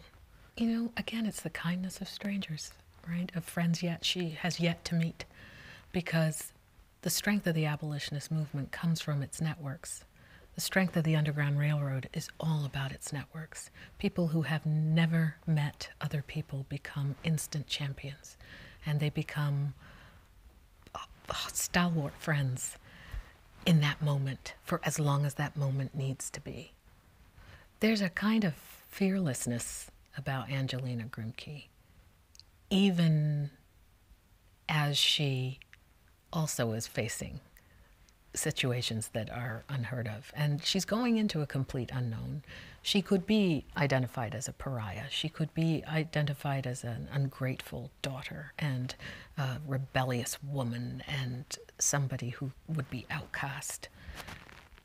A: You know, again, it's the kindness of strangers, right? Of friends yet she has yet to meet because the strength of the abolitionist movement comes from its networks. The strength of the Underground Railroad is all about its networks. People who have never met other people become instant champions, and they become uh, uh, stalwart friends in that moment for as long as that moment needs to be. There's a kind of fearlessness about Angelina Grimke, even as she also is facing situations that are unheard of. And she's going into a complete unknown. She could be identified as a pariah. She could be identified as an ungrateful daughter and a rebellious woman and somebody who would be outcast.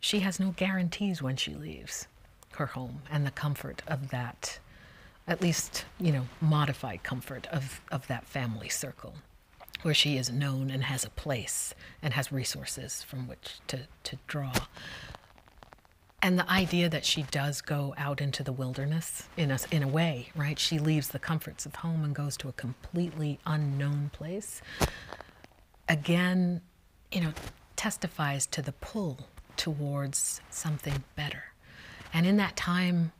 A: She has no guarantees when she leaves her home and the comfort of that, at least, you know, modified comfort of, of that family circle where she is known and has a place and has resources from which to, to draw. And the idea that she does go out into the wilderness in a, in a way, right? She leaves the comforts of home and goes to a completely unknown place. Again, you know, testifies to the pull towards something better. And in that time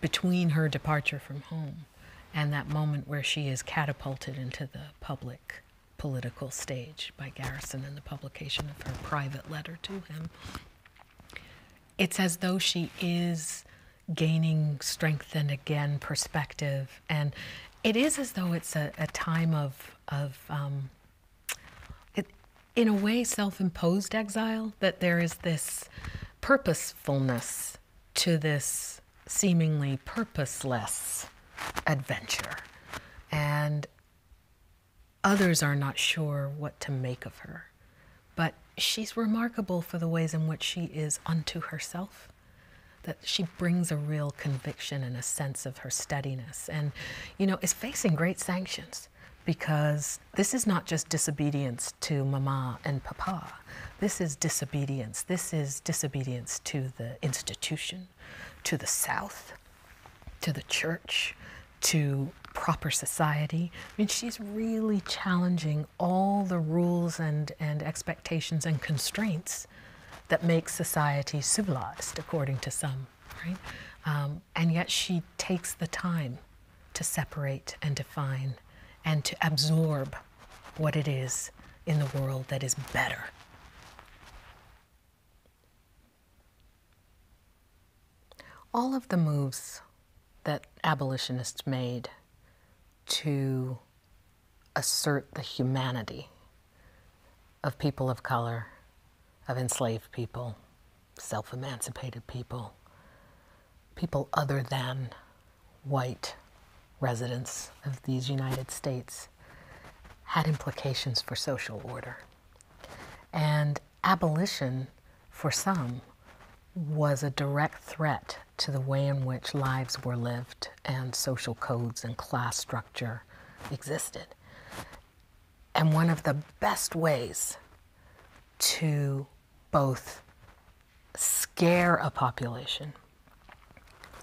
A: between her departure from home and that moment where she is catapulted into the public political stage by Garrison and the publication of her private letter to him, it's as though she is gaining strength and again perspective. And it is as though it's a, time of, of um, in a way, self imposed exile, that there is this purposefulness to this seemingly purposeless adventure. And others are not sure what to make of her. But she's remarkable for the ways in which she is unto herself that she brings a real conviction and a sense of her steadiness and you know is facing great sanctions because this is not just disobedience to mama and papa. This is disobedience. This is disobedience to the institution, to the South, to the church, to proper society. I mean, she's really challenging all the rules and, and expectations and constraints that make society civilized, according to some right? Um, and yet she takes the time to separate and define and to absorb what it is in the world that is better. All of the moves that abolitionists made to assert the humanity of people of color, of enslaved people, self emancipated people, people other than white residents of these United States, had implications for social order. And abolition, for some, was a direct threat to the way in which lives were lived and social codes and class structure existed. And one of the best ways to both scare a population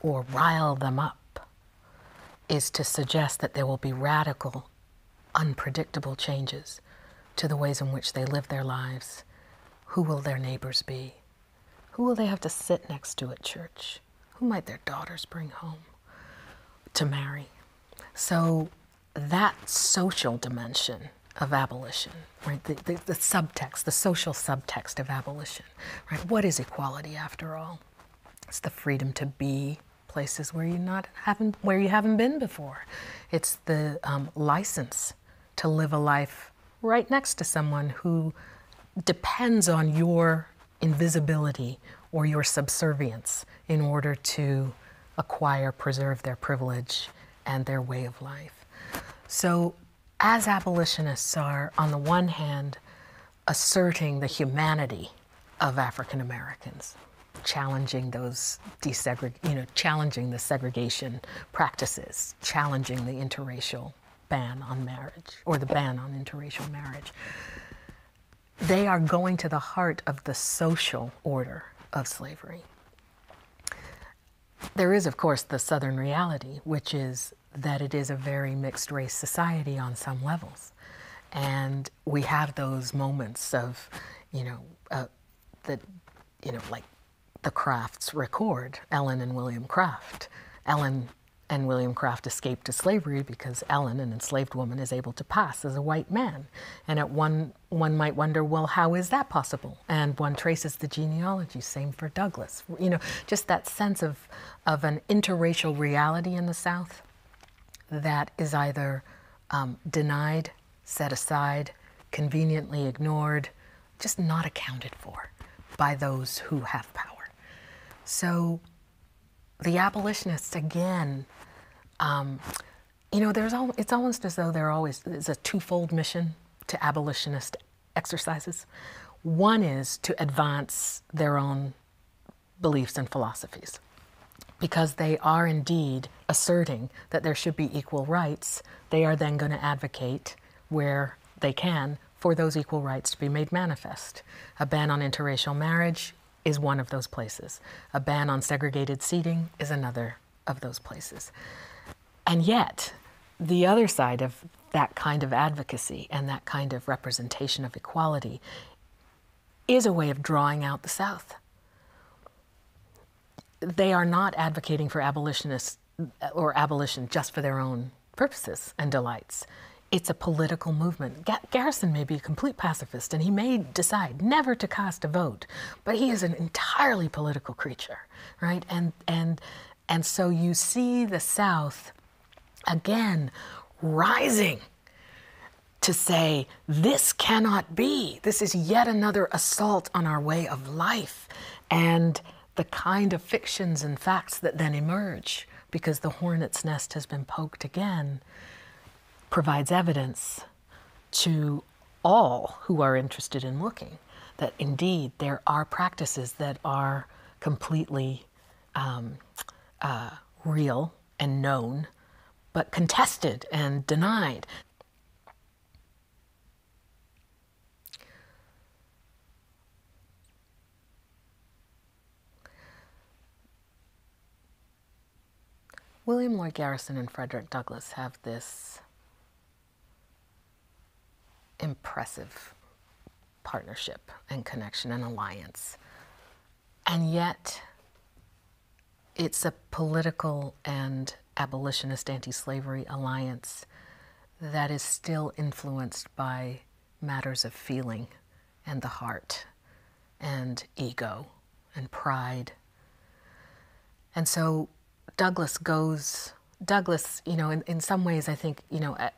A: or rile them up is to suggest that there will be radical, unpredictable changes to the ways in which they live their lives. Who will their neighbors be? Who will they have to sit next to at church? Who might their daughters bring home to marry? So that social dimension of abolition, right? The, the, subtext, the social subtext of abolition, right? What is equality after all? It's the freedom to be places where you not haven't where you haven't been before. It's the um, license to live a life right next to someone who depends on your invisibility or your subservience in order to acquire, preserve their privilege and their way of life. So, as abolitionists are, on the one hand, asserting the humanity of African Americans, challenging those desegreg, you know, challenging the segregation practices, challenging the interracial ban on marriage or the ban on interracial marriage they are going to the heart of the social order of slavery. There is, of course, the Southern reality, which is that it is a very mixed race society on some levels. And we have those moments of, you know, uh, you know, like the Crafts record, Ellen and William Craft. Ellen and William Craft escaped to slavery because Ellen, an enslaved woman, is able to pass as a white man. And at one, one might wonder, well, how is that possible? And one traces the genealogy. Same for Douglas. You know, just that sense of, of an interracial reality in the South that is either um, denied, set aside, conveniently ignored, just not accounted for by those who have power. So the abolitionists, again, um, you know, it's almost as though there always is a twofold mission to abolitionist exercises. One is to advance their own beliefs and philosophies, because they are indeed asserting that there should be equal rights. They are then going to advocate where they can for those equal rights to be made manifest. A ban on interracial marriage, is one of those places. A ban on segregated seating is another of those places. And yet, the other side of that kind of advocacy and that kind of representation of equality is a way of drawing out the South. They are not advocating for abolitionists or abolition just for their own purposes and delights. It's a political movement. Garrison may be a complete pacifist and he may decide never to cast a vote, but he is an entirely political creature, right? And, and, and so you see the South again rising to say, this cannot be. This is yet another assault on our way of life and the kind of fictions and facts that then emerge because the hornet's nest has been poked again provides evidence to all who are interested in looking that indeed there are practices that are completely um, uh, real and known, but contested and denied. William Lloyd Garrison and Frederick Douglass have this impressive partnership and connection and alliance. And yet, it's a political and abolitionist anti slavery alliance that is still influenced by matters of feeling and the heart and ego and pride. And so Douglas goes, Douglas, you know, in, in some ways, I think, you know, at,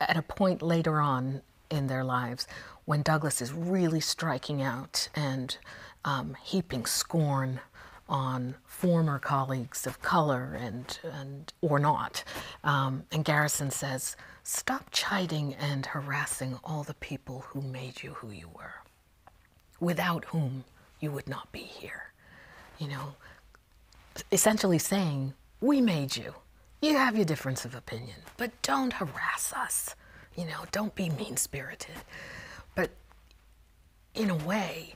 A: at a point later on in their lives when Douglas is really striking out and um, heaping scorn on former colleagues of color and, and or not. Um, and Garrison says, stop chiding and harassing all the people who made you who you were without whom you would not be here. You know, essentially saying, We made you. You have your difference of opinion, but don't harass us. You know, don't be mean spirited. But in a way,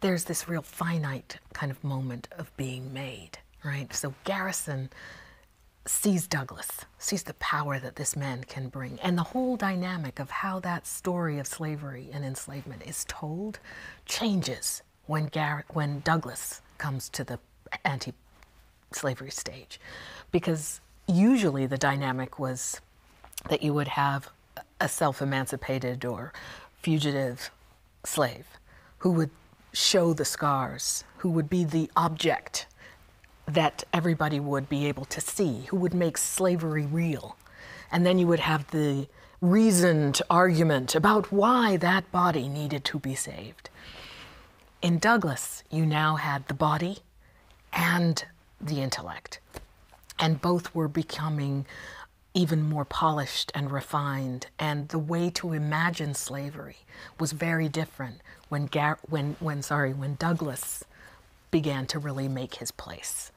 A: there's this real finite kind of moment of being made, right? So Garrison sees Douglas, sees the power that this man can bring, and the whole dynamic of how that story of slavery and enslavement is told changes when Garrett, when Douglas comes to the anti-slavery stage, because usually the dynamic was that you would have a self-emancipated or fugitive slave who would show the scars, who would be the object that everybody would be able to see, who would make slavery real. And then you would have the reasoned argument about why that body needed to be saved. In Douglas, you now had the body and the intellect, and both were becoming even more polished and refined, and the way to imagine slavery was very different when, Gar- when, when, sorry, when Douglas began to really make his place,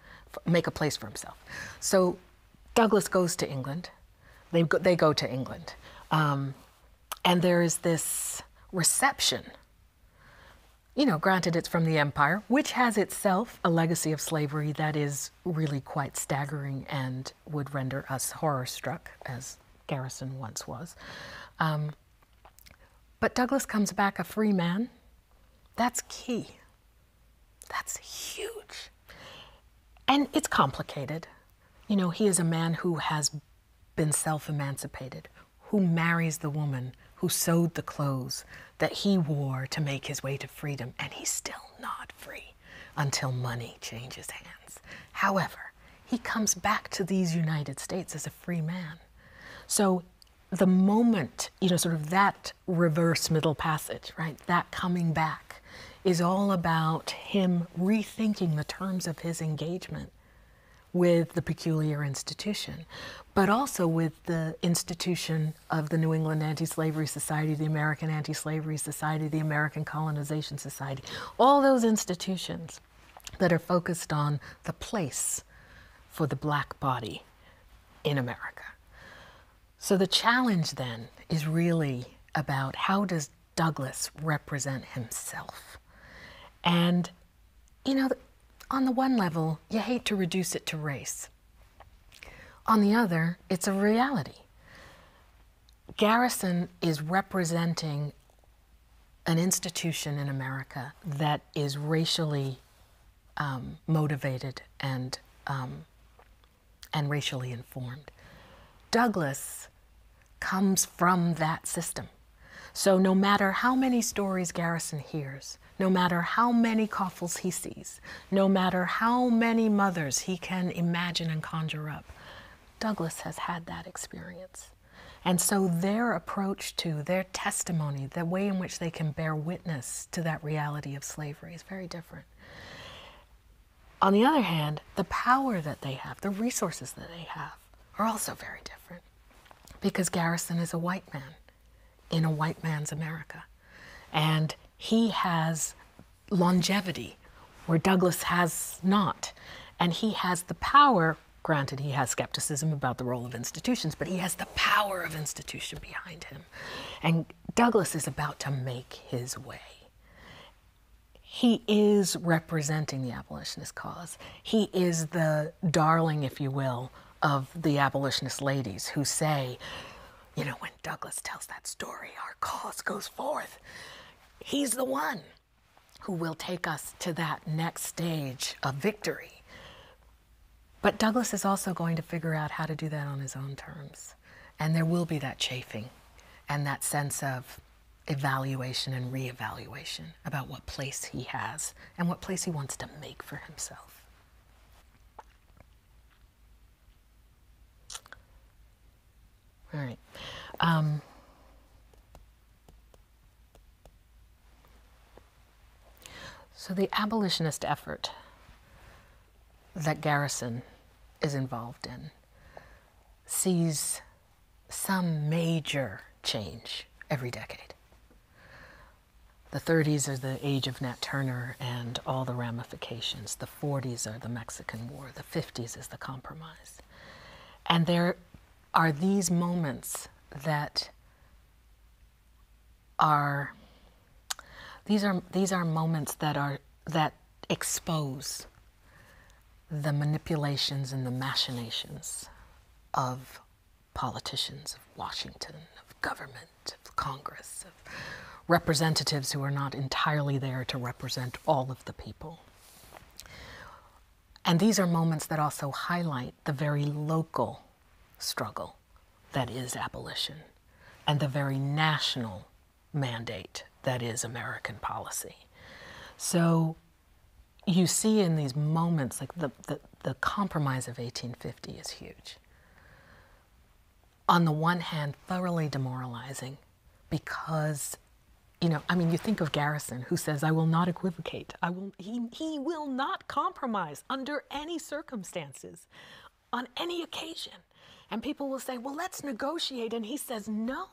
A: make a place for himself. So Douglas goes to England. They go, they go to England. Um, and there is this reception. You know, granted, it's from the empire, which has itself a legacy of slavery that is really quite staggering and would render us horror struck, as Garrison once was. Um, but Douglas comes back a free man. That's key. That's huge. And it's complicated. You know, he is a man who has been self emancipated, who marries the woman who sewed the clothes that he wore to make his way to freedom, and he's still not free until money changes hands. However, he comes back to these United States as a free man. So the moment, you know, sort of that reverse middle passage, right, that coming back is all about him rethinking the terms of his engagement with the peculiar institution, but also with the institution of the New England Anti Slavery Society, the American Anti Slavery Society, the American Colonization Society, all those institutions that are focused on the place for the black body in America. So the challenge then is really about how does Douglas represent himself? And, you know, on the one level, you hate to reduce it to race. On the other, it's a reality. Garrison is representing an institution in America that is racially um, motivated and um, and racially informed. Douglas comes from that system. So no matter how many stories Garrison hears, no matter how many coffles he sees, no matter how many mothers he can imagine and conjure up, Douglas has had that experience. And so their approach to their testimony, the way in which they can bear witness to that reality of slavery is very different. On the other hand, the power that they have, the resources that they have, are also very different because Garrison is a white man in a white man's America. And he has longevity where Douglas has not. And he has the power granted, he has skepticism about the role of institutions, but he has the power of institution behind him. And Douglas is about to make his way. He is representing the abolitionist cause. He is the darling, if you will, of the abolitionist ladies who say, you know, when Douglas tells that story, our cause goes forth. He's the one who will take us to that next stage of victory. But Douglas is also going to figure out how to do that on his own terms. And there will be that chafing and that sense of evaluation and reevaluation about what place he has and what place he wants to make for himself. All right. Um, so the abolitionist effort that Garrison is involved in sees some major change every decade. The 30s are the age of Nat Turner and all the ramifications. The 40s are the Mexican War. The 50s is the compromise. And there are these moments that are these are these are moments that are that expose the manipulations and the machinations of politicians of Washington, of government, of Congress, of representatives who are not entirely there to represent all of the people. And these are moments that also highlight the very local struggle that is abolition and the very national mandate that is American policy. So you see in these moments, like the, the, compromise of 1850 is huge. On the one hand, thoroughly demoralizing because, you know, I mean, you think of Garrison who says, I will not equivocate I will, he, he will not compromise under any circumstances, on any occasion. And people will say, well, let's negotiate. And he says, no.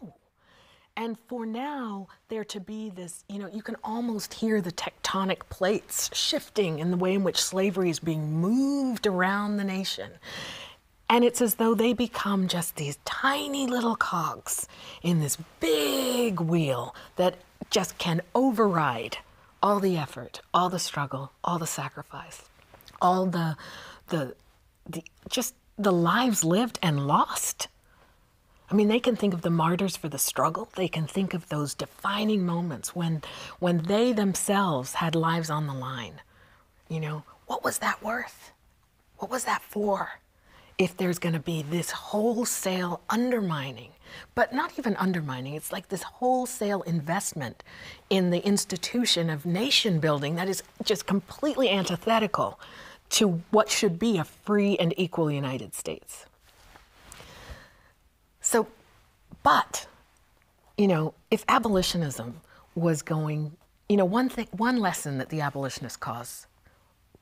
A: And for now, there to be this, you know, you can almost hear the tectonic plates shifting in the way in which slavery is being moved around the nation. And it's as though they become just these tiny little cogs in this big wheel that just can override all the effort, all the struggle, all the sacrifice, all the, the, the just the lives lived and lost. I mean, they can think of the martyrs for the struggle. They can think of those defining moments when, when they themselves had lives on the line. You know, what was that worth? What was that for? if there's going to be this wholesale undermining, but not even undermining, it's like this wholesale investment in the institution of nation building that is just completely antithetical to what should be a free and equal United States. So, but, you know, if abolitionism was going, you know, one thing, one lesson that the abolitionist cause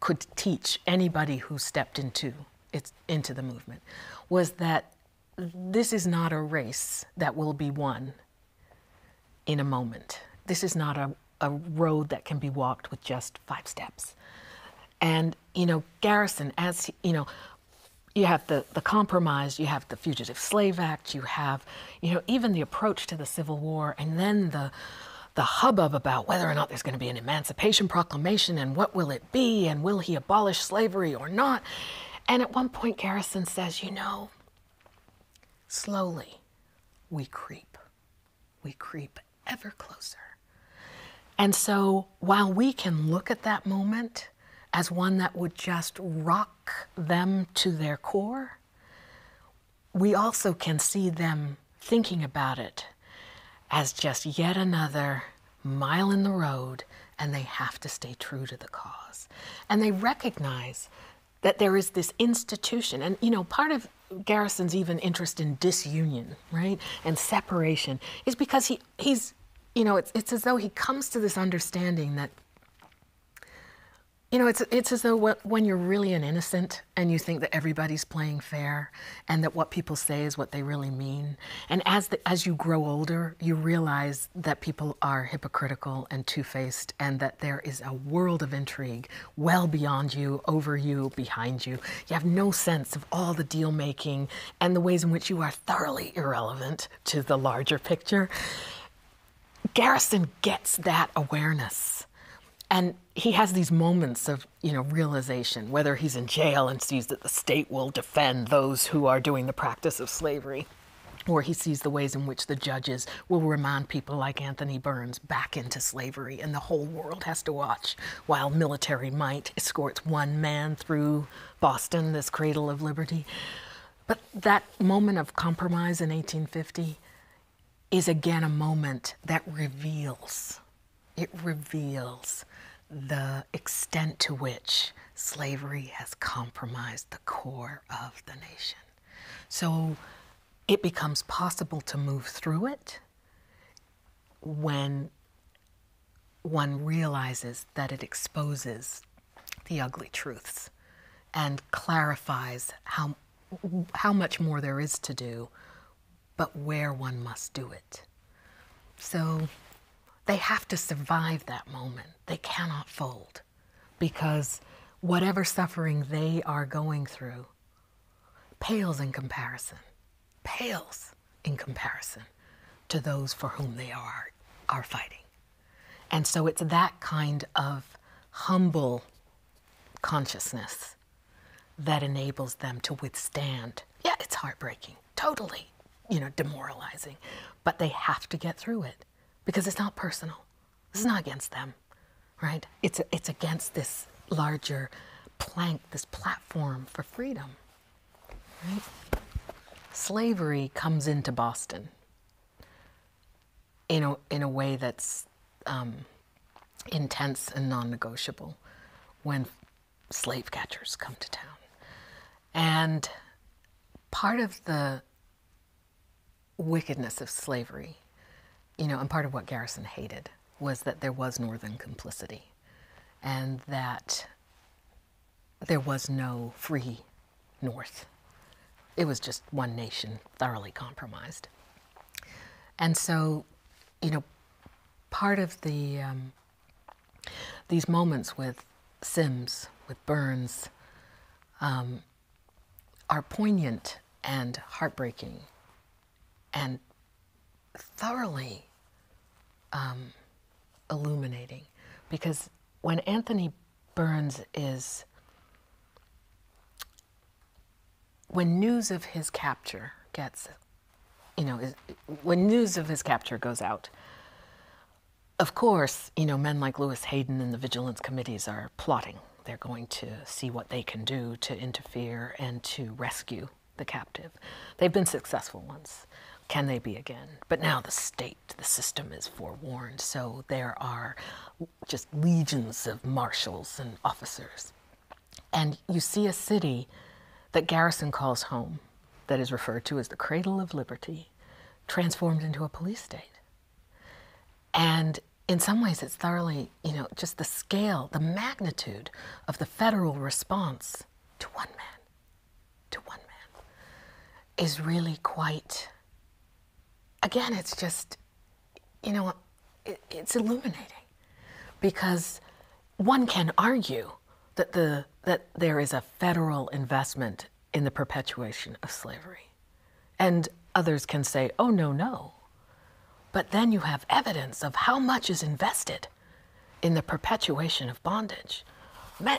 A: could teach anybody who stepped into it, into the movement was that this is not a race that will be won in a moment. This is not a, a road that can be walked with just five steps. And, you know, Garrison, as, you know, you have the, the compromise, you have the Fugitive Slave Act, you have, you know, even the approach to the Civil War, and then the the hubbub about whether or not there's going to be an Emancipation Proclamation and what will it be and will he abolish slavery or not. And at one point, Garrison says, You know, slowly we creep, we creep ever closer. And so while we can look at that moment as one that would just rock them to their core, we also can see them thinking about it as just yet another mile in the road, and they have to stay true to the cause. And they recognize that there is this institution. And, you know, part of Garrison's even interest in disunion, right, and separation is because he, he's, you know, it's, it's as though he comes to this understanding that, you know, it's, it's as though when you're really an innocent, and you think that everybody's playing fair and that what people say is what they really mean. And as, as you grow older, you realize that people are hypocritical and two-faced and that there is a world of intrigue well beyond you, over you, behind you. You have no sense of all the deal making and the ways in which you are thoroughly irrelevant to the larger picture. Garrison gets that awareness. And he has these moments of you know realization whether he's in jail and sees that the state will defend those who are doing the practice of slavery or he sees the ways in which the judges will remind people like Anthony Burns back into slavery, and the whole world has to watch while military might escorts one man through Boston, this cradle of liberty. But that moment of compromise in 1850 is again a moment that reveals it reveals the extent to which slavery has compromised the core of the nation. So it becomes possible to move through it when one realizes that it exposes the ugly truths and clarifies how, how much more there is to do but where one must do it. So they have to survive that moment. They cannot fold because whatever suffering they are going through pales in comparison, pales in comparison to those for whom they are, are fighting. And so it's that kind of humble consciousness that enables them to withstand. Yeah, it's heartbreaking, totally, you know, demoralizing, but they have to get through it because it's not personal. This is not against them, right? It's, it's against this larger plank, this platform for freedom, right? Slavery comes into Boston in a, in a way that's um, intense and non negotiable when slave catchers come to town. And part of the wickedness of slavery, you know, and part of what Garrison hated was that there was Northern complicity and that there was no free North. It was just one nation thoroughly compromised. And so, you know, part of the um, these moments with Sims, with Burns, um, are poignant and heartbreaking and thoroughly um, illuminating. Because when Anthony Burns is, when news of his capture gets you know, when news of his capture goes out, of course, you know, men like Lewis Hayden and the vigilance committees are plotting. They're going to see what they can do to interfere and to rescue the captive. They've been successful once. Can they be again? But now the state, the system is forewarned, so there are just legions of marshals and officers and you see a city that Garrison calls home, that is referred to as the cradle of liberty, transformed into a police state. And in some ways, it's thoroughly, you know, just the scale, the magnitude of the federal response to one man, to one man, is really quite, again, it's just, you know, it's illuminating because one can argue that, the, that there is a federal investment in the perpetuation of slavery. And others can say, oh, no, no. But then you have evidence of how much is invested in the perpetuation of bondage,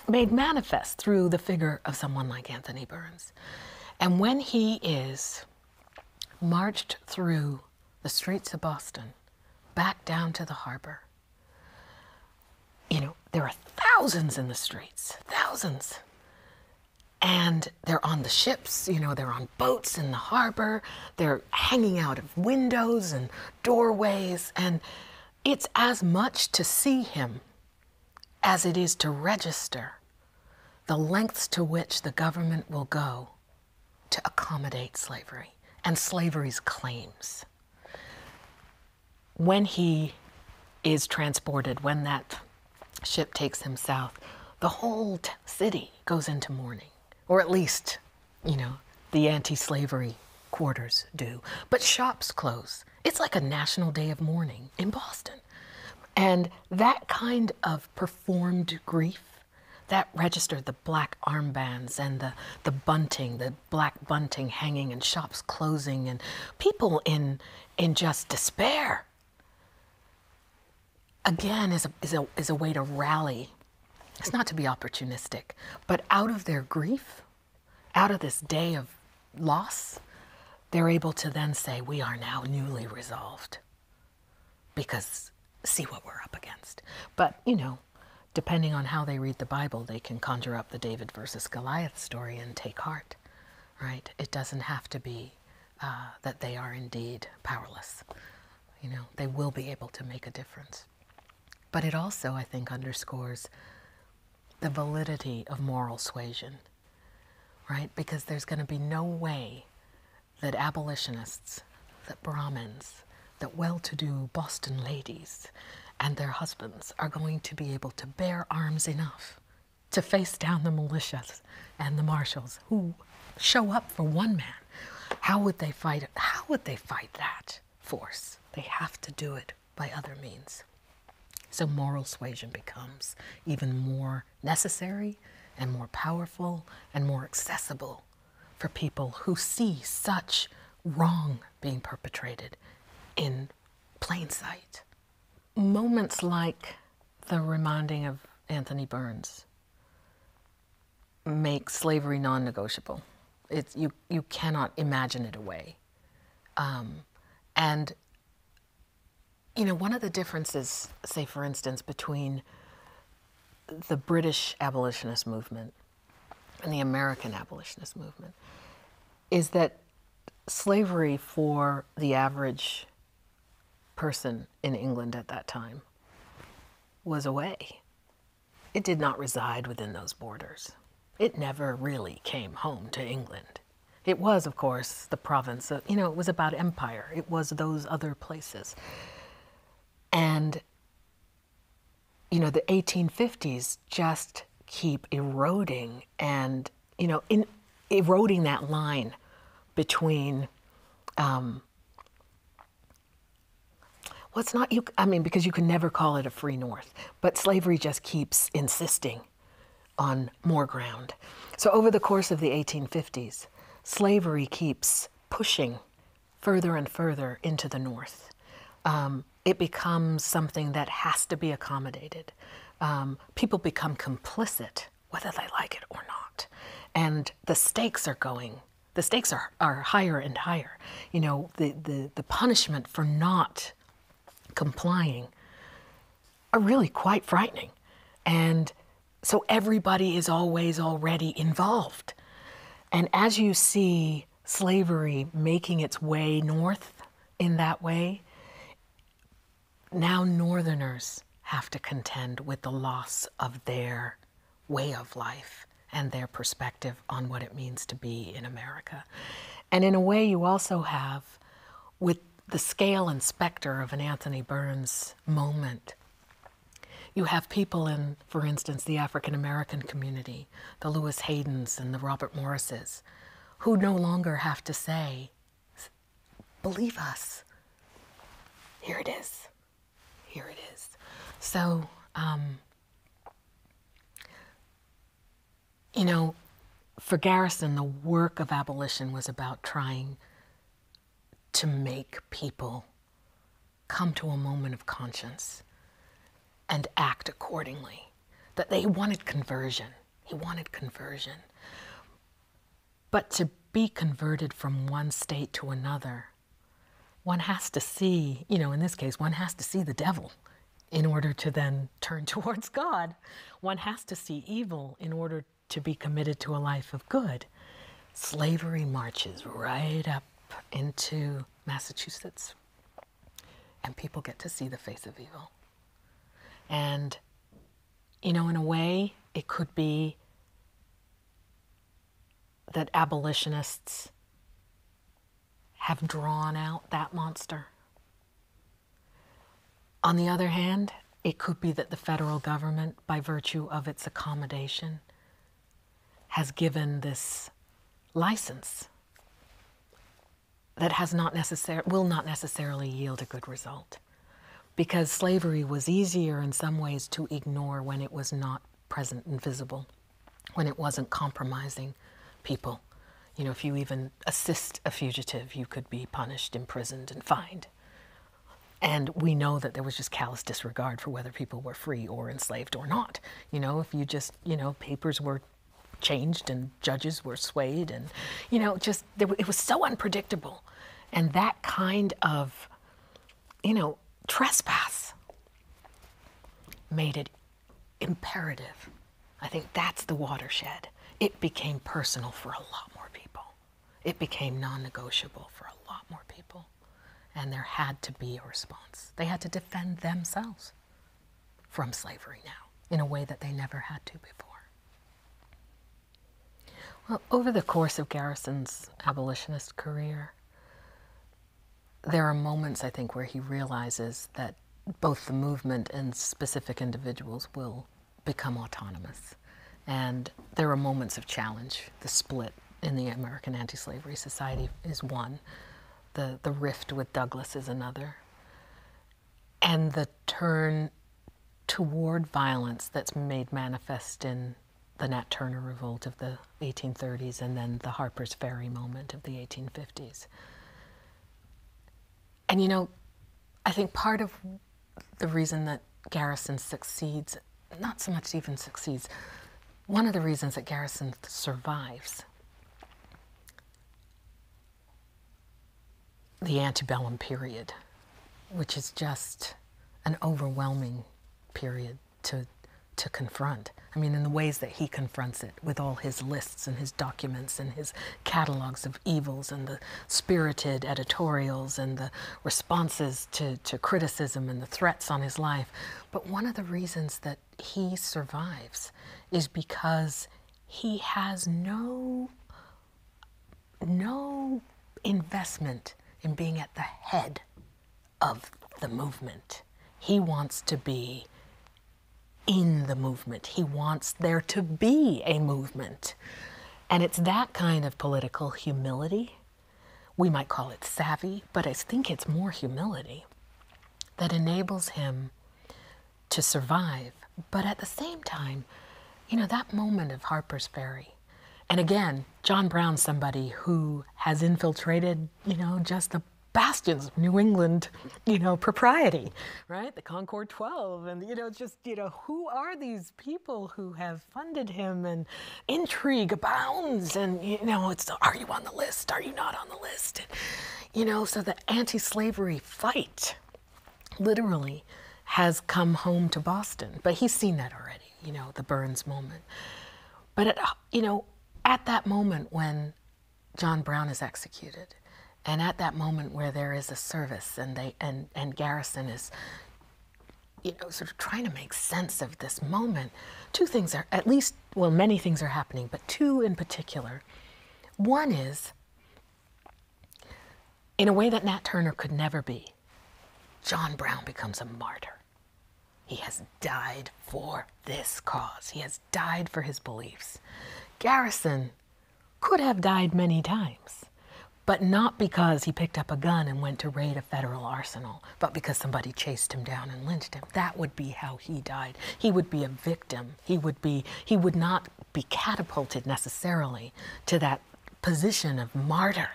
A: made manifest through the figure of someone like Anthony Burns. And when he is marched through the streets of Boston, back down to the harbor. You know, there are thousands in the streets, thousands. And they're on the ships, you know, they're on boats in the harbor, they're hanging out of windows and doorways, and it's as much to see him as it is to register the lengths to which the government will go to accommodate slavery and slavery's claims. When he is transported, when that ship takes him south, the whole city goes into mourning, or at least, you know, the anti slavery quarters do. But shops close. It's like a national day of mourning in Boston. And that kind of performed grief that registered the black armbands and the, the bunting, the black bunting hanging in shops closing and people in, in just despair. Again, is a, is, is a way to rally. It's not to be opportunistic, but out of their grief, out of this day of loss, they're able to then say, We are now newly resolved. Because see what we're up against. But, you know, Depending on how they read the Bible, they can conjure up the David versus Goliath story and take heart, right? It doesn't have to be uh, that they are indeed powerless. You know, they will be able to make a difference. But it also, I think, underscores the validity of moral suasion, right? Because there's going to be no way that abolitionists, that Brahmins, that well to do Boston ladies and their husbands are going to be able to bear arms enough to face down the militias and the marshals who show up for one man. How would they fight How would they fight that force? They have to do it by other means. So moral suasion becomes even more necessary and more powerful and more accessible for people who see such wrong being perpetrated in plain sight. Moments like the reminding of Anthony Burns make slavery non negotiable. It's, you, you cannot imagine it away. Um, and, you know, one of the differences, say, for instance, between the British abolitionist movement and the American abolitionist movement is that slavery for the average person in England at that time was away. It did not reside within those borders. It never really came home to England. It was, of course, the province of, you know, it was about empire. It was those other places. And you know, the 1850s just keep eroding and, you know, in, eroding that line between um, what's not I mean, because you can never call it a free North, but slavery just keeps insisting on more ground. So over the course of the 1850s, slavery keeps pushing further and further into the north. Um, it becomes something that has to be accommodated. Um, people become complicit, whether they like it or not. And the stakes are going, the stakes are, are higher and higher. You know, the, the, the punishment for not complying are really quite frightening. And so everybody is always already involved. And as you see slavery making its way north in that way, now Northerners have to contend with the loss of their way of life and their perspective on what it means to be in America. And in a way, you also have, with the scale and specter of an Anthony Burns moment, you have people in, for instance, the African American community, the Lewis Haydens and the Robert Morrises, who no longer have to say, believe us. Here it is. Here it is. So, um, you know, for Garrison, the work of abolition was about trying to make people come to a moment of conscience and act accordingly. That they wanted conversion. He wanted conversion. But to be converted from one state to another, one has to see, you know, in this case, one has to see the devil in order to then turn [laughs] towards God. One has to see evil in order to be committed to a life of good. Slavery marches right up into Massachusetts. And people get to see the face of evil. And, you know, in a way, it could be that abolitionists have drawn out that monster. On the other hand, it could be that the federal government, by virtue of its accommodation has given this license that has not necessar- will not necessarily yield a good result because slavery was easier in some ways to ignore when it was not present and visible when it wasn't compromising people you know if you even assist a fugitive you could be punished imprisoned and fined and we know that there was just callous disregard for whether people were free or enslaved or not you know, if you just, you know, papers were changed and judges were swayed and, you know, just, it was so unpredictable. And that kind of, you know, trespass made it imperative. I think that's the watershed. It became personal for a lot more people. It became non negotiable for a lot more people and there had to be a response. They had to defend themselves from slavery now in a way that they never had to before. Well, over the course of Garrison's abolitionist career, there are moments, I think, where he realizes that both the movement and specific individuals will become autonomous. And there are moments of challenge. The split in the American Anti Slavery Society is one. The, the rift with Douglas is another. And the turn toward violence that's made manifest in the Nat Turner revolt of the 1830s and then the Harper's Ferry moment of the 1850s. And you know, I think part of the reason that Garrison succeeds, not so much even succeeds, one of the reasons that Garrison survives the antebellum period, which is just an overwhelming period to, to confront. I mean, in the ways that he confronts it with all his lists and his documents and his catalogs of evils and the spirited editorials and the responses to, to criticism and the threats on his life. But one of the reasons that he survives is because he has no no investment in being at the head of the movement. He wants to be in the movement. He wants there to be a movement. And it's that kind of political humility we might call it savvy, but I think it's more humility that enables him to survive. But at the same time, you know, that moment of Harper's Ferry. And again, John Brown's somebody who has infiltrated, you know, just the bastions of New England, you know, propriety, right? The Concord 12 and you know just, you know, who are these people who have funded him and intrigue abounds and you know, it's are you the list? Are you not on the list? you know, so the anti slavery fight literally has come home to Boston. But he's seen that already, you know, the Burns moment. But, at, you know, at that moment when John Brown is executed, and at that moment where there is a service and they and, and Garrison is you know, sort of trying to make sense of this moment, two things are at least well, many things are happening, but two in particular. One is, in a way that Nat Turner could never be, John Brown becomes a martyr. He has died for this cause, he has died for his beliefs. Garrison could have died many times, but not because he picked up a gun and went to raid a federal arsenal but because somebody chased him down and lynched him. That would be how he died. He would be a victim. He would be he would not be catapulted necessarily to that position of martyr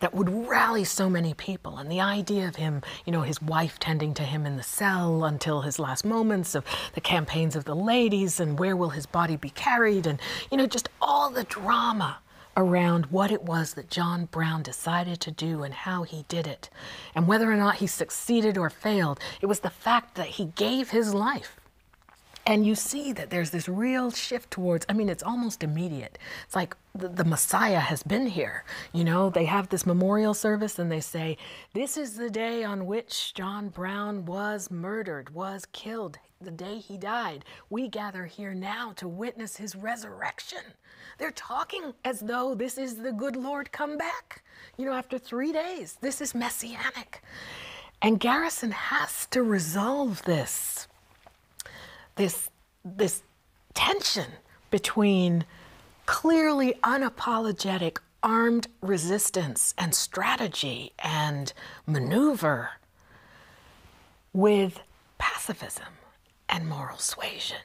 A: that would rally so many people. And the idea of him, you know, his wife tending to him in the cell until his last moments, of the campaigns of the ladies, and where will his body be carried, and, you know, just all the drama around what it was that John Brown decided to do and how he did it and whether or not he succeeded or failed. It was the fact that he gave his life. And you see that there's this real shift towards, I mean, it's almost immediate. It's like the, Messiah has been here. You know, they have this memorial service and they say, This is the day on which John Brown was murdered, was killed, the day he died. We gather here now to witness his resurrection. They're talking as though this is the good Lord come back. You know, after three days, this is messianic. And Garrison has to resolve this, this, this tension between clearly unapologetic armed resistance and strategy and maneuver with pacifism and moral suasion.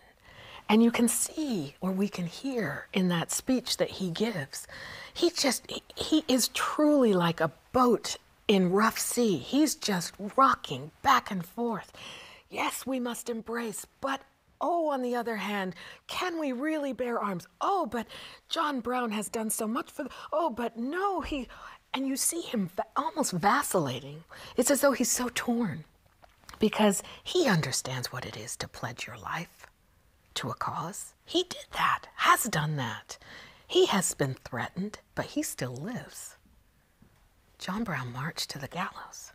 A: And you can see, or we can hear in that speech that he gives, he just, he is truly like a boat in rough sea. He's just rocking back and forth. Yes, we must embrace, but oh, on the other hand, can we really bear arms? Oh, but John Brown has done so much for, the, oh, but no, he, and you see him almost vacillating. It's as though he's so torn because he understands what it is to pledge your life to a cause. He did that, has done that. He has been threatened, but he still lives. John Brown marched to the gallows.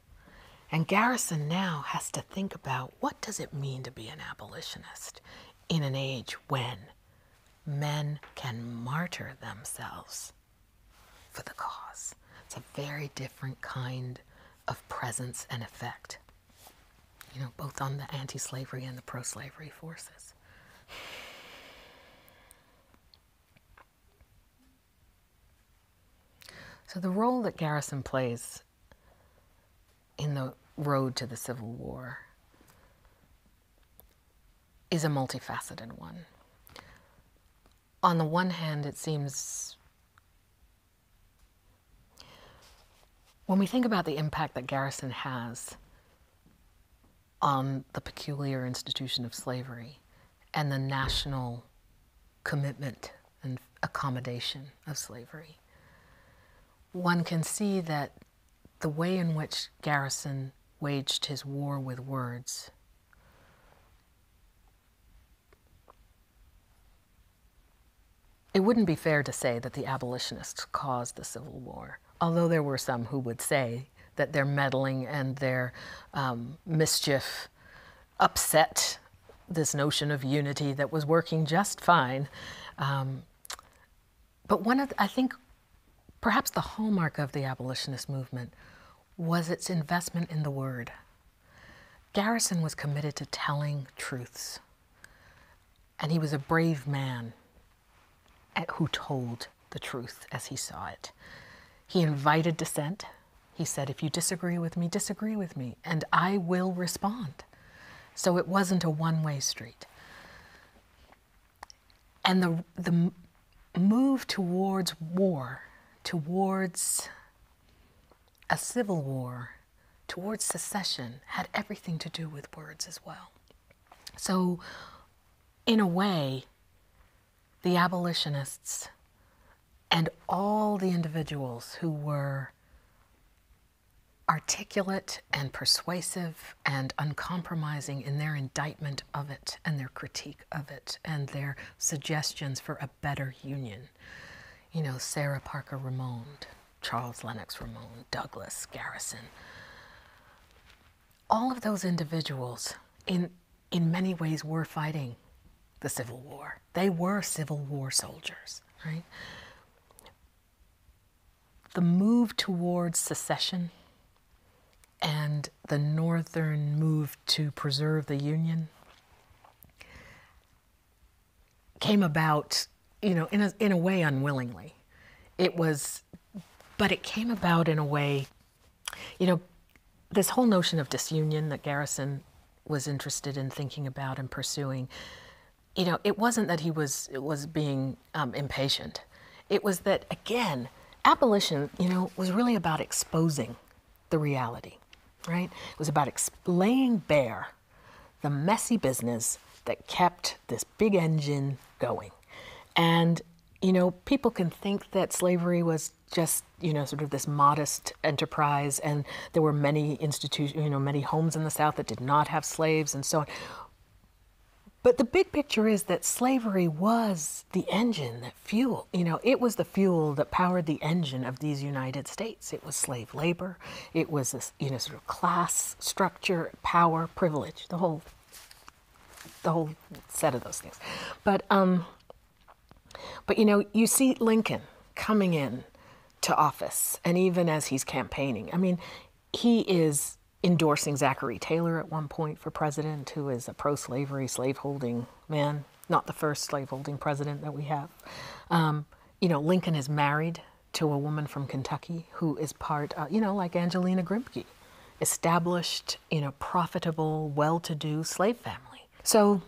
A: And Garrison now has to think about what does it mean to be an abolitionist in an age when men can martyr themselves for the cause. It's a very different kind of presence and effect, you know, both on the anti slavery and the pro slavery forces. So, the role that Garrison plays in the road to the Civil War is a multifaceted one on the one hand, it seems when we think about the impact that Garrison has on the peculiar institution of slavery and the national commitment and accommodation of slavery, one can see that the way in which Garrison waged his war with words it wouldn't be fair to say that the abolitionists caused the Civil War, although there were some who would say that their meddling and their um, mischief upset this notion of unity that was working just fine. Um, but one of, I think, perhaps the hallmark of the abolitionist movement was its investment in the word. Garrison was committed to telling truths, and he was a brave man who told the truth as he saw it. He invited dissent. He said, If you disagree with me, disagree with me, and I will respond. So it wasn't a one way street. And the, the move towards war, towards a civil war towards secession had everything to do with words as well. So, in a way, the abolitionists and all the individuals who were articulate and persuasive and uncompromising in their indictment of it and their critique of it and their suggestions for a better union. You know, Sarah Parker Ramond, Charles Lennox Ramond, Douglas Garrison. All of those individuals, in, in many ways, were fighting the Civil War. They were Civil War soldiers, right? The move towards secession and the Northern move to preserve the Union came about, you know, in a, in a way unwillingly. It was, but it came about in a way, you know, this whole notion of disunion that Garrison was interested in thinking about and pursuing, you know, it wasn't that he was was being um, impatient. It was that again, abolition, you know, was really about exposing the reality, right? It was about ex- laying bare the messy business that kept this big engine going. And, you know, people can think that slavery was just, you know, sort of this modest enterprise and there were many institutions, you know, many homes in the South that did not have slaves and so on. But the big picture is that slavery was the engine fuel, you know, it was the fuel that powered the engine of these United States. It was slave labor. It was this, you know, sort of class structure, power, privilege, the whole, the whole set of those things. But, um, but you know, you see Lincoln coming in to office, and even as he's campaigning, I mean, he is endorsing Zachary Taylor at one point for president, who is a pro-slavery, slaveholding man not the first slaveholding president that we have. Um, you know, Lincoln is married to a woman from Kentucky who is part, uh, you know, like Angelina Grimke, established, in a profitable, well to do slave family. So,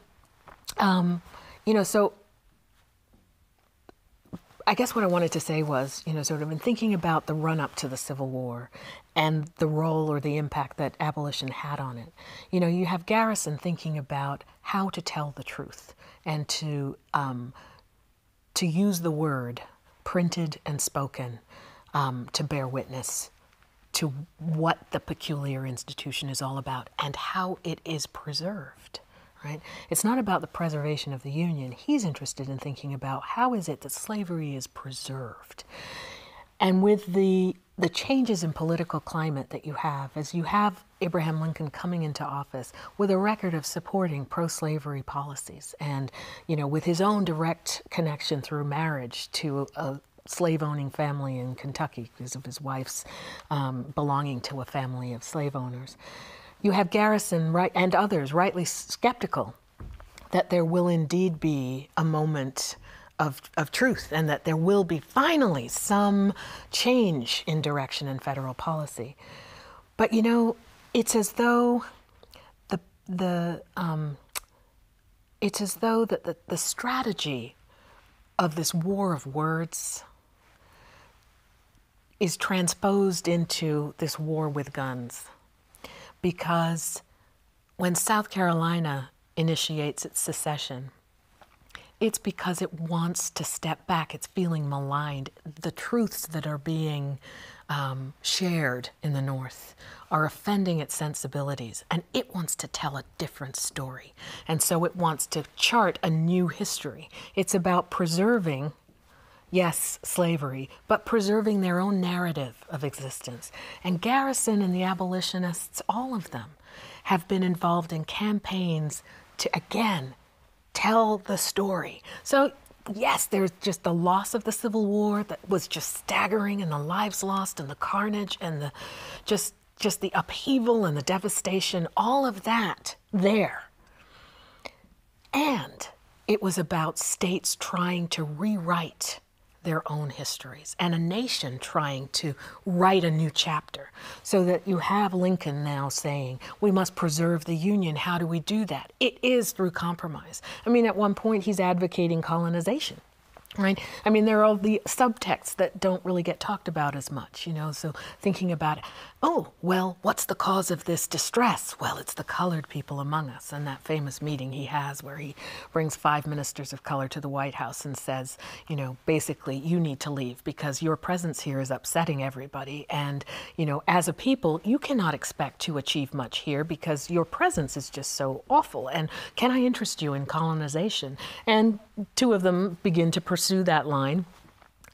A: um, you know, so I guess what I wanted to say was, you know, sort of in thinking about the run up to the Civil War and the role or the impact that abolition had on it. You know, you have Garrison thinking about how to tell the truth and to um, to use the word printed and spoken um, to bear witness to what the peculiar institution is all about and how it is preserved. Right? It's not about the preservation of the Union. He's interested in thinking about how is it that slavery is preserved. And with the the changes in political climate that you have as you have Abraham Lincoln coming into office with a record of supporting pro-slavery policies and you know with his own direct connection through marriage to a slave owning family in Kentucky because of his wife's um, belonging to a family of slave owners. You have Garrison and others rightly skeptical that there will indeed be a moment of, of truth and that there will be finally some change in direction in federal policy. But you know, it's as though the, the, um, it's as though that the, the strategy of this war of words is transposed into this war with guns. Because when South Carolina initiates its secession, it's because it wants to step back. It's feeling maligned. The truths that are being um, shared in the North are offending its sensibilities, and it wants to tell a different story. And so it wants to chart a new history. It's about preserving, yes, slavery, but preserving their own narrative of existence. And Garrison and the abolitionists, all of them, have been involved in campaigns to, again, tell the story. So, yes, there's just the loss of the Civil War that was just staggering, and the lives lost, and the carnage, and the just just the upheaval and the devastation, all of that there. And it was about states trying to rewrite their own histories and a nation trying to write a new chapter so that you have Lincoln now saying, we must preserve the Union. How do we do that? It is through compromise. I mean, at one point, he's advocating colonization right i mean there are all the subtexts that don't really get talked about as much you know so thinking about oh well what's the cause of this distress well it's the colored people among us and that famous meeting he has where he brings five ministers of color to the white house and says you know basically, you need to leave because your presence here is upsetting everybody. And, you know, as a people, you cannot expect to achieve much here because your presence is just so awful. And can I interest you in colonization? And two of them begin to pursue that line.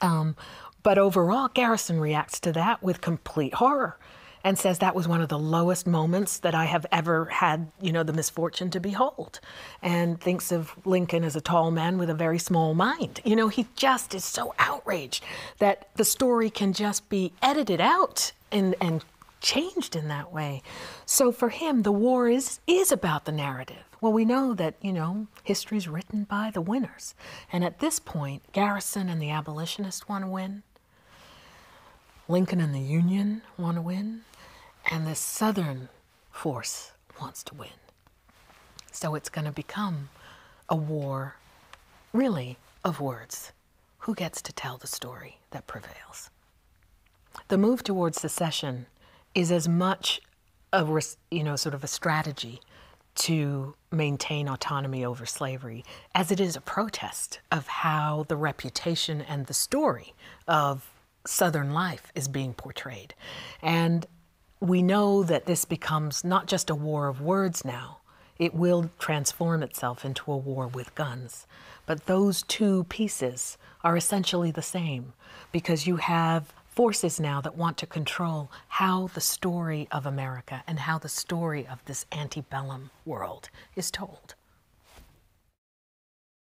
A: Um, but overall, Garrison reacts to that with complete horror and says that was one of the lowest moments that I have ever had you know, the misfortune to behold and thinks of Lincoln as a tall man with a very small mind. You know, he just is so outraged that the story can just be edited out and, and changed in that way. So for him, the war is, is about the narrative. Well, we know that, you know, history's written by the winners. And at this point, Garrison and the abolitionist want to win. Lincoln and the Union want to win. And the Southern force wants to win. So it's going to become a war, really, of words. Who gets to tell the story that prevails? The move towards secession is as much a you know sort of a strategy to maintain autonomy over slavery as it is a protest of how the reputation and the story of Southern life is being portrayed. And we know that this becomes not just a war of words now, it will transform itself into a war with guns. But those two pieces are essentially the same because you have forces now that want to control how the story of America and how the story of this antebellum world is told.